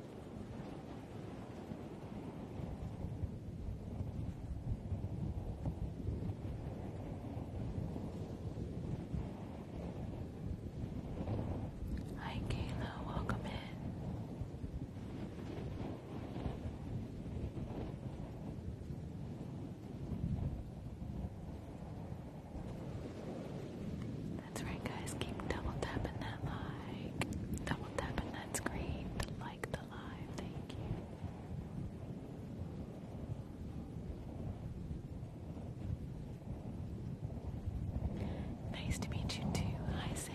Hi, Kayla, welcome in. That's right, guys. Keep double tapping that like, double tapping that screen like the live. Thank you. Nice to meet you too. Hi, Sailor.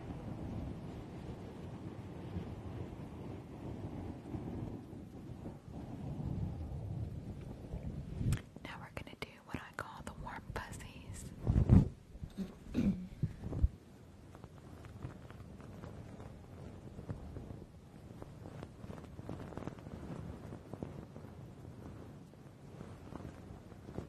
Now we're going to do what I call the warm fuzzies. Thank you for the follow. Thank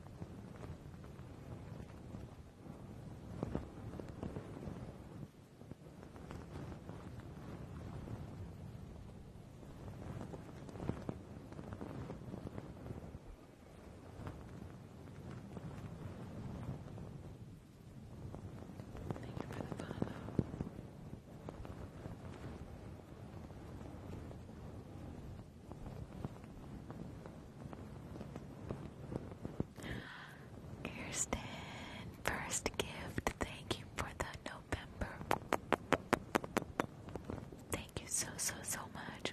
Kirsten, first gift. Thank you for the November. Thank you so, so, so much.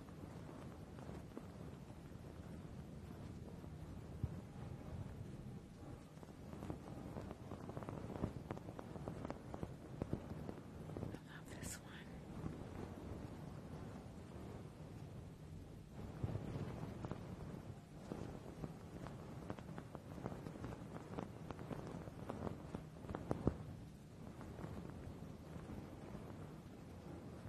I love this one.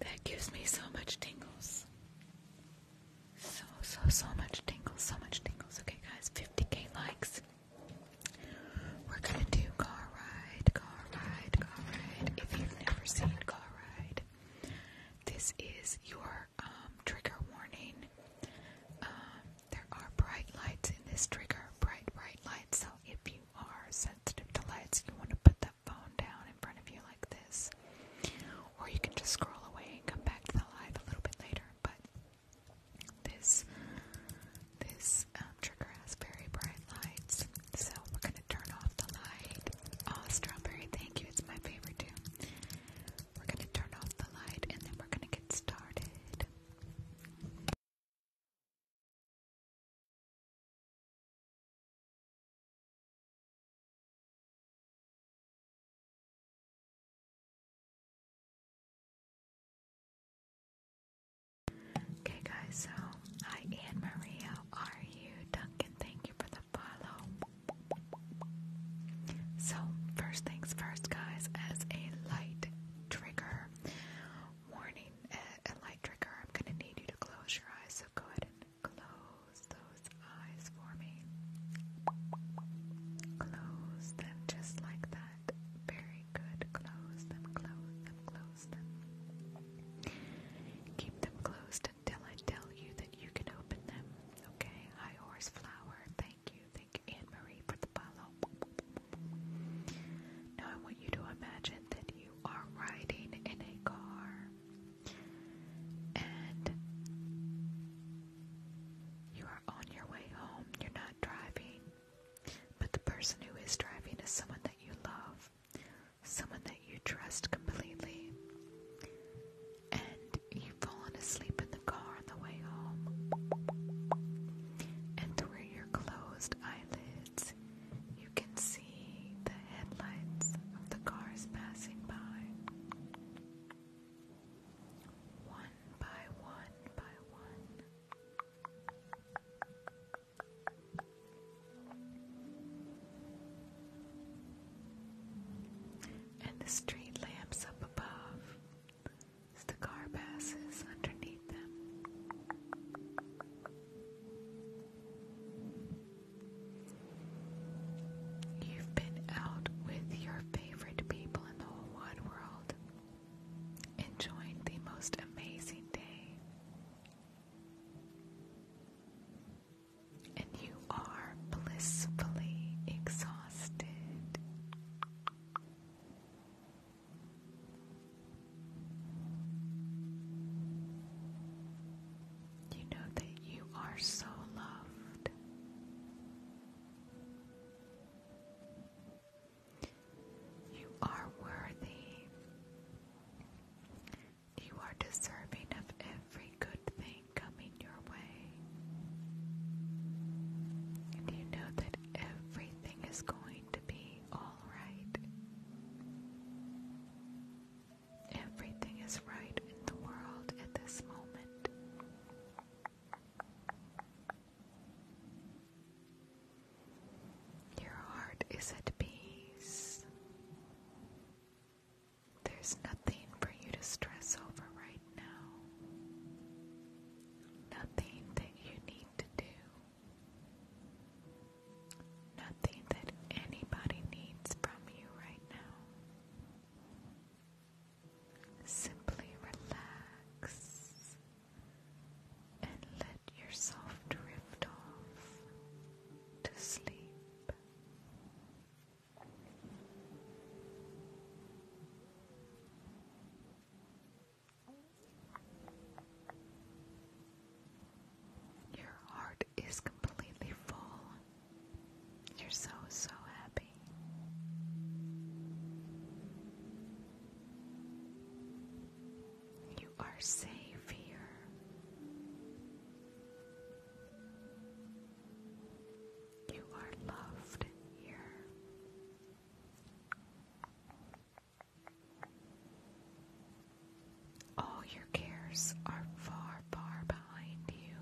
That gives me so much tingles. So, so, so much tingles, so much tingles. Okay, guys, 50k likes. We're gonna do Car Ride, Car Ride, Car Ride. If you've never seen Car Ride, this is your um, trigger warning. Um, there are bright lights in this trigger, bright, bright lights. So if you are sensitive to lights, you want to put that phone down in front of you like this. Or you can just scroll away and come back to the light a little bit later. But this this um, trigger has very bright lights, so we're gonna turn off the light. Oh, strawberry, thank you. It's my favorite too.
We're gonna turn off the light and then we're gonna get started. Okay, guys, so hi, Anne Maria. Are you
Duncan? Thank you for the follow. So, first things first, guys, as a light trigger warning a light trigger. I'm going to need you to close your eyes, so go ahead and close those eyes for me. Close them just like that. Very good. Close them, close them, close them. Keep them closed until I tell you that you can open them. Okay? Hi, Horse Flower. Thank you. Thank you, Anne Marie, for the follow. Now I want you to imagine that you are riding in a car and you are on your way home. You're not driving, but the person who is driving is someone that you love, someone that you trust completely. And you've fallen asleep in the car on the way home. And through your closed eyelids, you can see the headlights
of the cars passing by. One by one by one.
And the street lamps up above as the car passes underneath them. You've been out with your favorite people in the whole wide world, enjoying the most amazing day. And you are blissfully exhausted. You know that you are so loved. You are worthy. You are deserving of every good thing coming your way. And you know that everything is going to be all right. Everything is right in the world at this moment. Your heart is at peace. There's nothing for you to stress over right now. Nothing that you need to do. Nothing that anybody needs from you right now. Simply relax and let yourself drift off to sleep. Your heart is completely full. You're so, so happy. You are safe here. You are loved here. All your cares are far, far behind you.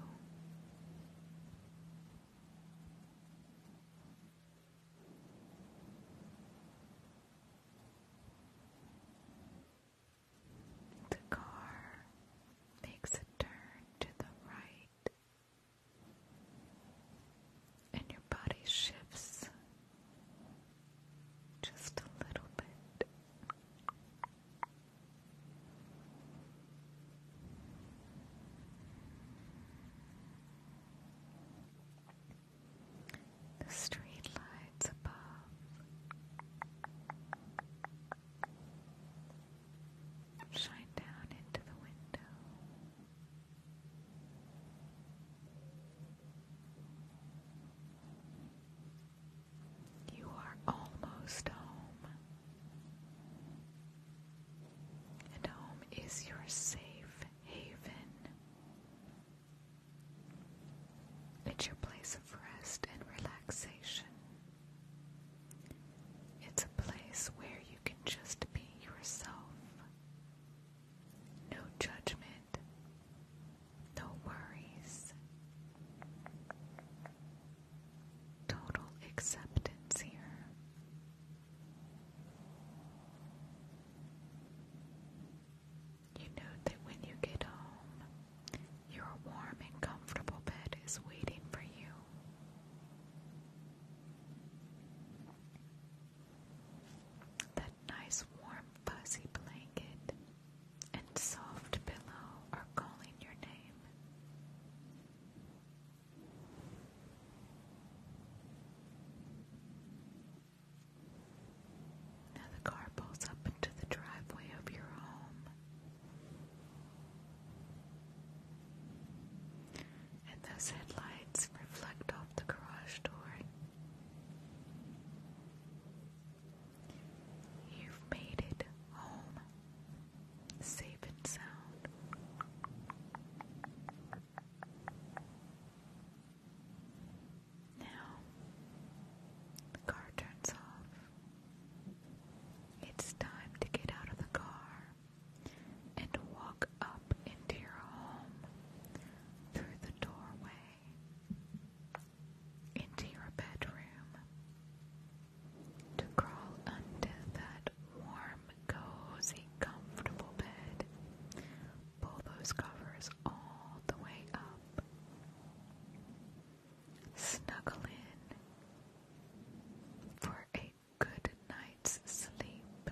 The car makes a turn to the right and your body shifts just a little bit. The street lights above. Shine down into the window. You are almost home, and home is your safe haven. It's your place of rest and relaxation. It's a place where you can just be yourself. No judgment, no worries. Total acceptance here. You know that when you get home, your warm and comfortable bed is waiting for you. That nice warm fuzzy blanket and soft pillow are calling your name. Now the car pulls up into the driveway of your home. And those headlights reflect off the garage door You've made it home, safe and sound. Now, the car turns off. It's time to get out of the car and walk up into your home through the doorway into your bedroom to crawl under that warm, cozy, comfortable bed. Pull those covers all the way up. Snuggle in for a good night's sleep.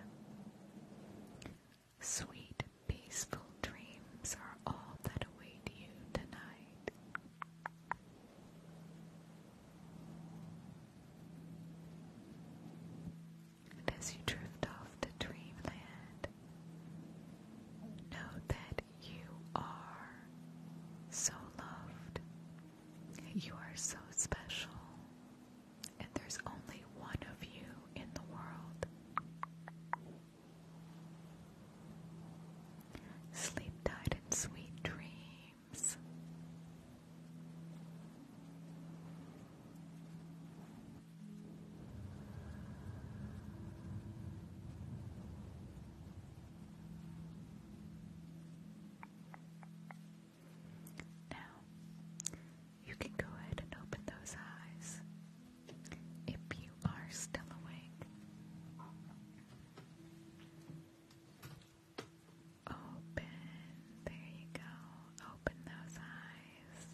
Sweet, peaceful dreams are all that await you tonight. And as you drift off to dreamland, know that you are so loved, you are so special, and there's only one of you in the world. Sleep tight in sweet dreams. Now, you can go ahead and open those eyes if you are still awake. Open, there you go. Open those eyes.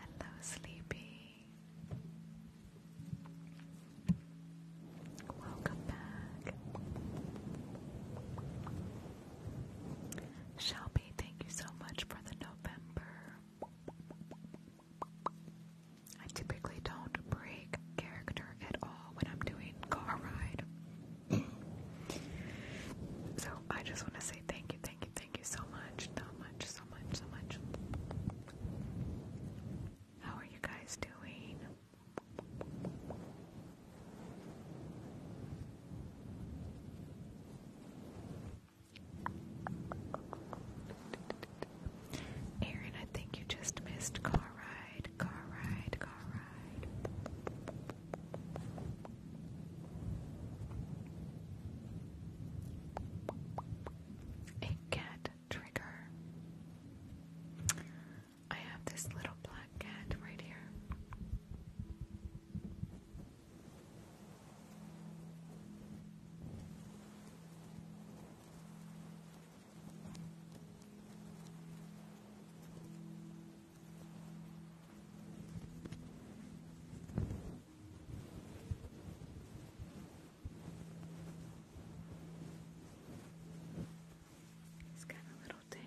Hello, sleepy. Welcome back. Shelby, thank you so much for the November. I typically don't break character at all when I'm doing car ride. so I just want to say thank you, thank you, thank you so much, so much, so much, so much. How are you guys doing? Aaron, I think you just missed car ride, car ride, car ride. A cat trigger. I have this little black cat right here. He's got a little tail.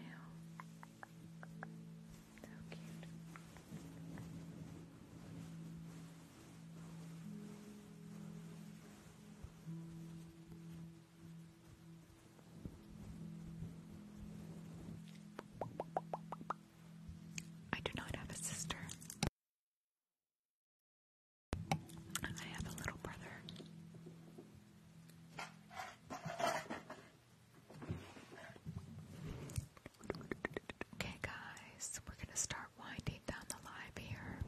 So cute. I do not have a sister. I have a little brother. Okay, guys, we're gonna start winding down the live here.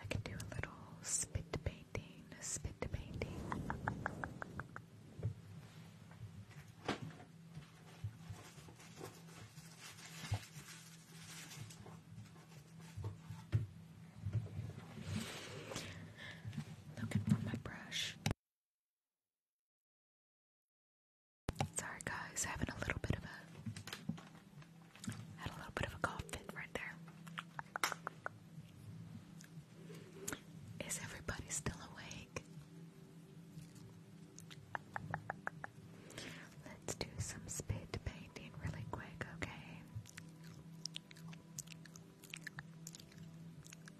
I can do a little spit painting, spit painting. Looking my brush. Sorry guys, having a little bit of a had a little bit of a cough right there. Is everybody still awake? Let's do some spit painting really quick, okay?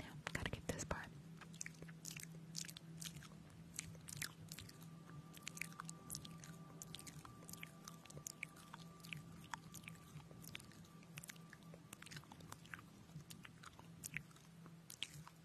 Now, gotta get this part.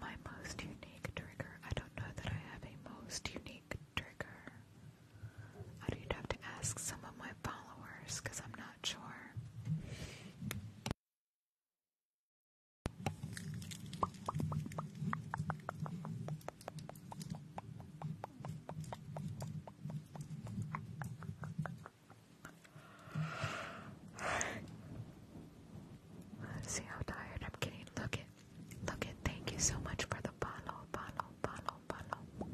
My most unique trigger. I don't know that I have a most unique trigger. I'd have to ask some of my followers because I'm not sure. See how tired I'm getting? Look it. Look it. Thank you so much for the follow, follow, follow, follow.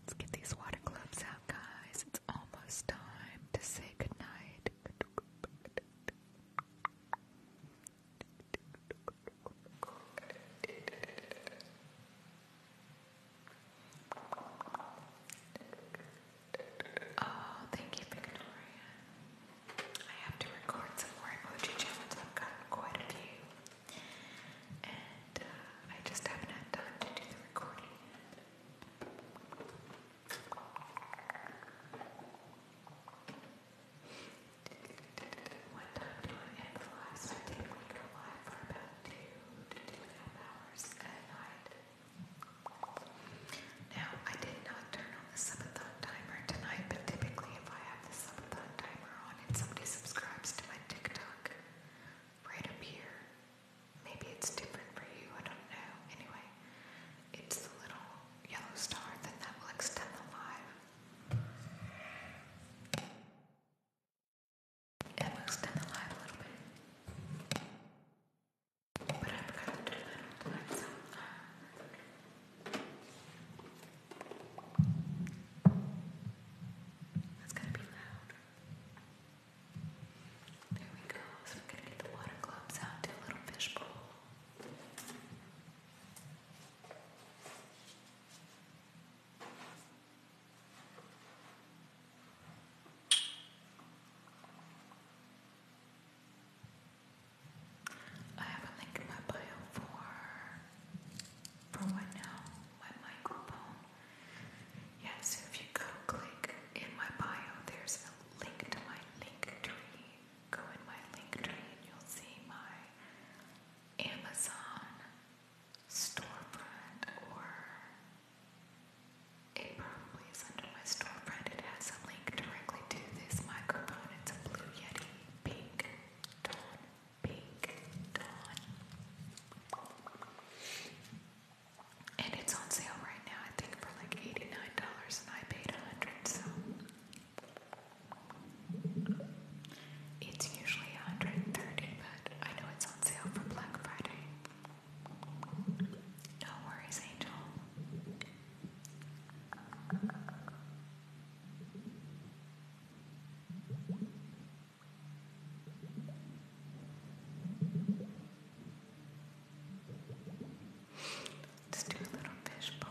Let's get these water gloves out, guys. It's almost time to say goodnight. Oh, thank you, Victoria. I have to record some more emoji challenges. I've gotten quite a few. And uh, I just haven't had time to do the recording yet. One time during End Lives, I did linger live for about two to two and a half hours at night. Now, I did not turn on the subathon timer tonight, but typically if I have the subathon timer on and somebody subscribes to my TikTok right up here, maybe it's different for you, I don't know. Anyway, it's the little yellow star, then that will extend the live. It will stand alive a little bit. But I forgot to do that last time. That's gonna be loud. There we go. So we're gonna get the water globes out to a little fishbowl. I have a link in my bio for for what now? My microphone. Yes, so if you go click in my bio, there's a link to my link tree. Go in my link tree and you'll see my Amazon storefront, or it probably is under my storefront. It has a link directly to this microphone. It's a Blue Yeti Pink Dawn. Pink Dawn. And it's on sale right now, I think, for like $89, and I paid 100 so. It's usually 130, but I know it's on sale for Black Friday. No worries, Angel. let do a little fishbowl.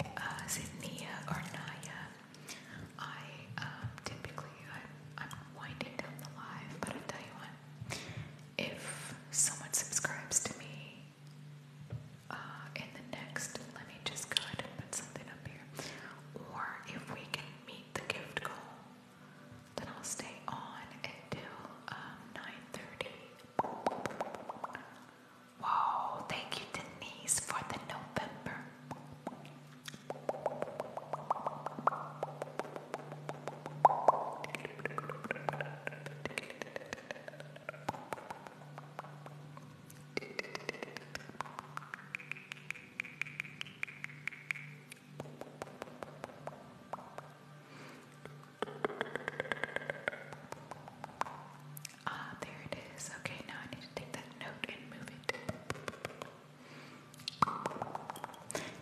Uh, is Nia I um, typically I'm, winding down the live, but i tell you what. If someone subscribes to me uh, in the next, let me just go ahead and put something up here. Or if we can meet the gift goal, then I'll stay on until 9:30. Um, Wow, thank you, Denise, for the November. Ah, there it is. Okay, now I need to take that note and move it.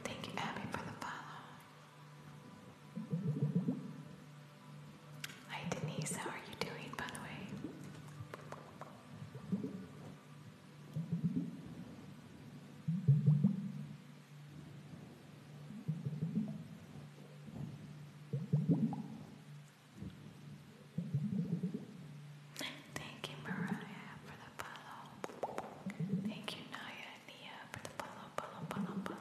Thank you, Abby, for the follow. Hi, Denise. How are you doing, by the way? Thank you, Mariah, for the follow. Thank you, Naya Nia, for the follow, follow, follow, follow.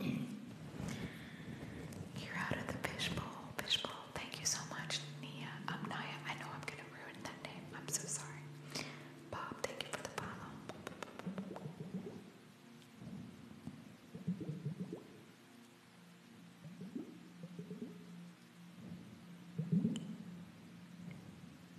You're out of the fishbowl, fishbowl. Thank you so much, Nia. I'm um, Naya. I know I'm gonna ruin that name. I'm so sorry. Bob, thank you for the follow.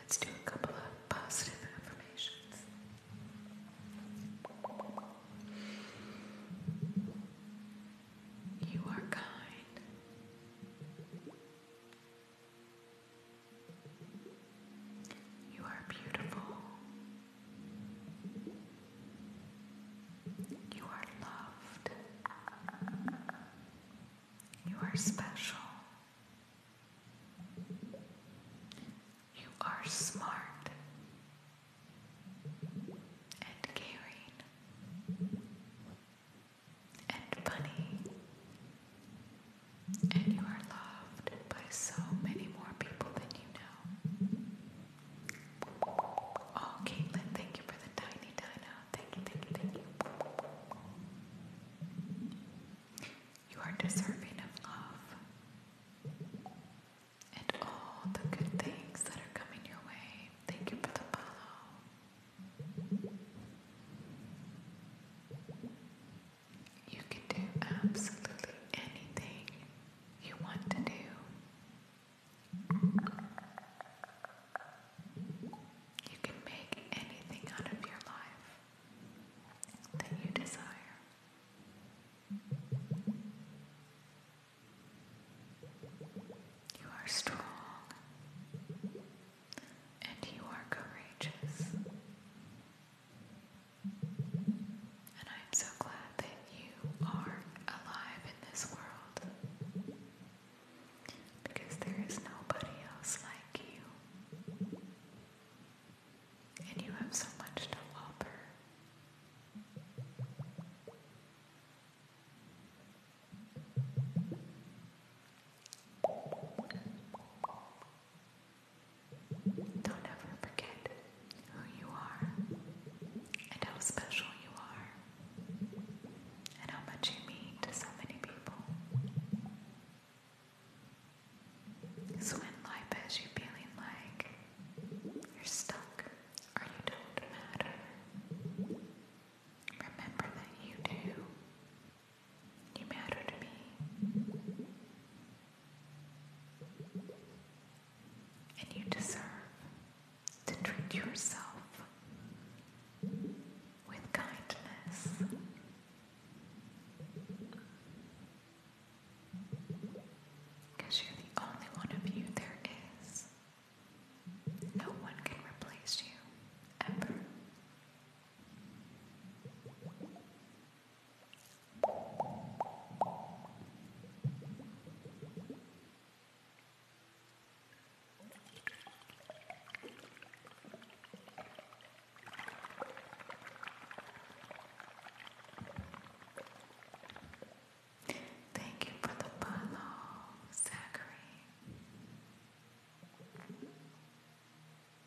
Let's do a couple of
positive affirmations.
You are kind. You are beautiful. You are loved. You are special. You are smart and caring and funny and you are loved by so many more people than you know. Oh, Caitlin, thank you for the tiny dino. Thank you, thank you, thank you. You are deserving of love and all the good things that are coming your way. Thank you for the follow. You can do absolutely anything you want to do. You can make anything out of your life that you desire. You are strong and you are courageous. And I'm so glad that you are alive in this world. Because there is nobody else like you. And you have so much to offer. Don't ever forget who you are and how special you are and how much you mean to so many people. So when life has you feeling like you're stuck or you don't matter, remember that you do. You matter to me. And you deserve to treat yourself with kindness. Because you're the only one of you there is. No one can replace you, ever. Thank you for the follow, Zachary.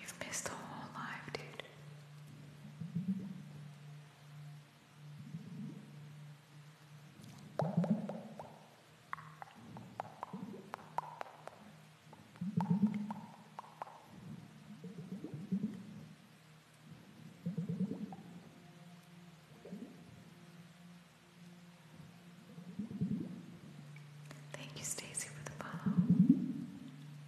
You've missed the whole life, dude. Thank you, Stacy, for the follow.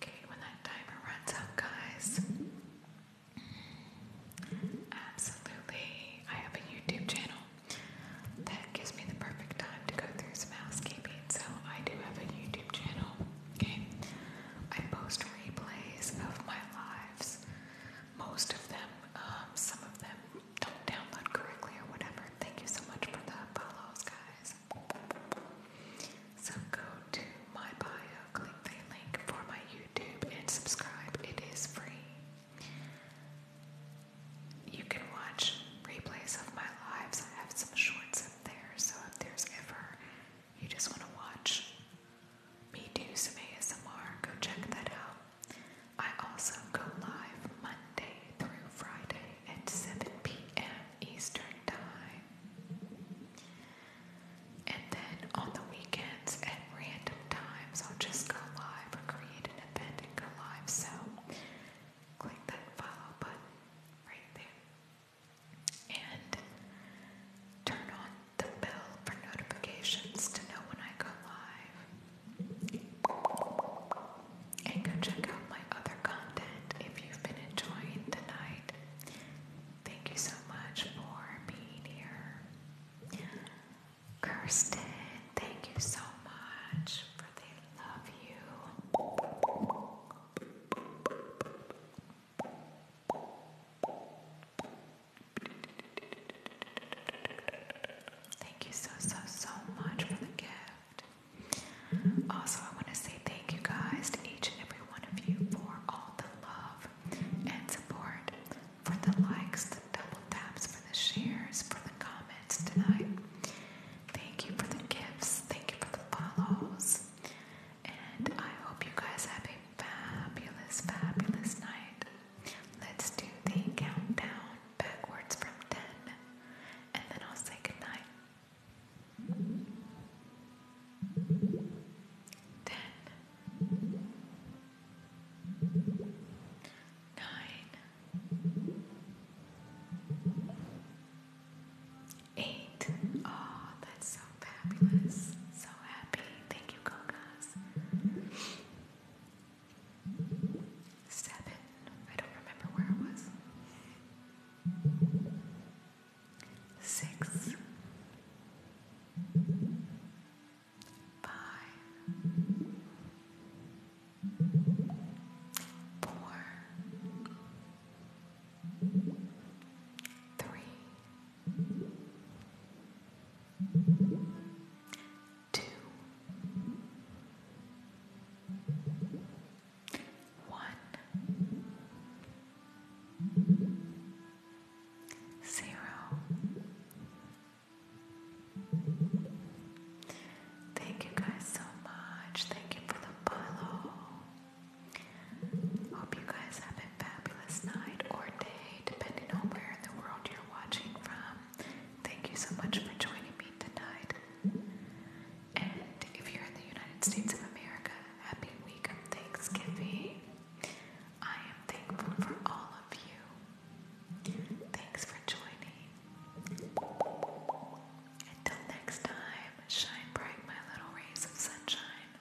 Okay, when that timer runs out, guys, absolutely. I have a YouTube channel that gives me the perfect time to go through some housekeeping, so I do have a YouTube channel. Okay, I post replays of my lives, most of them, um, some of them don't download correctly or whatever. Thank you so much for the follows, guys. So go to my bio, click the link for my YouTube, and subscribe. It is free. You can watch replays of my lives. I have some shorts up there, so if there's ever you just want to watch me do some ASMR, go check that out. I also go live Monday. Monday through Friday at 7 p.m. Eastern Time. And then on the weekends at random times, I'll just go live or create an event and go live. So click that follow button right there. And turn on the bell for notifications to know when I go live. And go check out my other content if you've been enjoying tonight. Thank you so much for being here. Kirsten, thank you so much for the love you.
Thank you so, so, so much for the gift.
Also, I want to say thank you guys to each and every one of you for all the love and support, for the likes, the double taps, for the shares, for the comments tonight. Thank you for the gifts, thank you for the follows, and I hope you guys have a fabulous, fabulous night. Let's do the countdown backwards from 10 and then I'll say good night. Nine. Eight. Oh, that's so fabulous. So happy. Thank you, Gogas
seven. I don't remember where it was. Six, five, four, three, two one, zero. Thank you guys so much. Thank you for the follow. Hope you guys have a fabulous night or day, depending on where in
the world you're watching from. Thank you so much for joining me tonight. And if you're in the United States of America, happy week of Thanksgiving. I am thankful for all of you. Thanks for joining. Until next time, shine bright, my little rays of sunshine.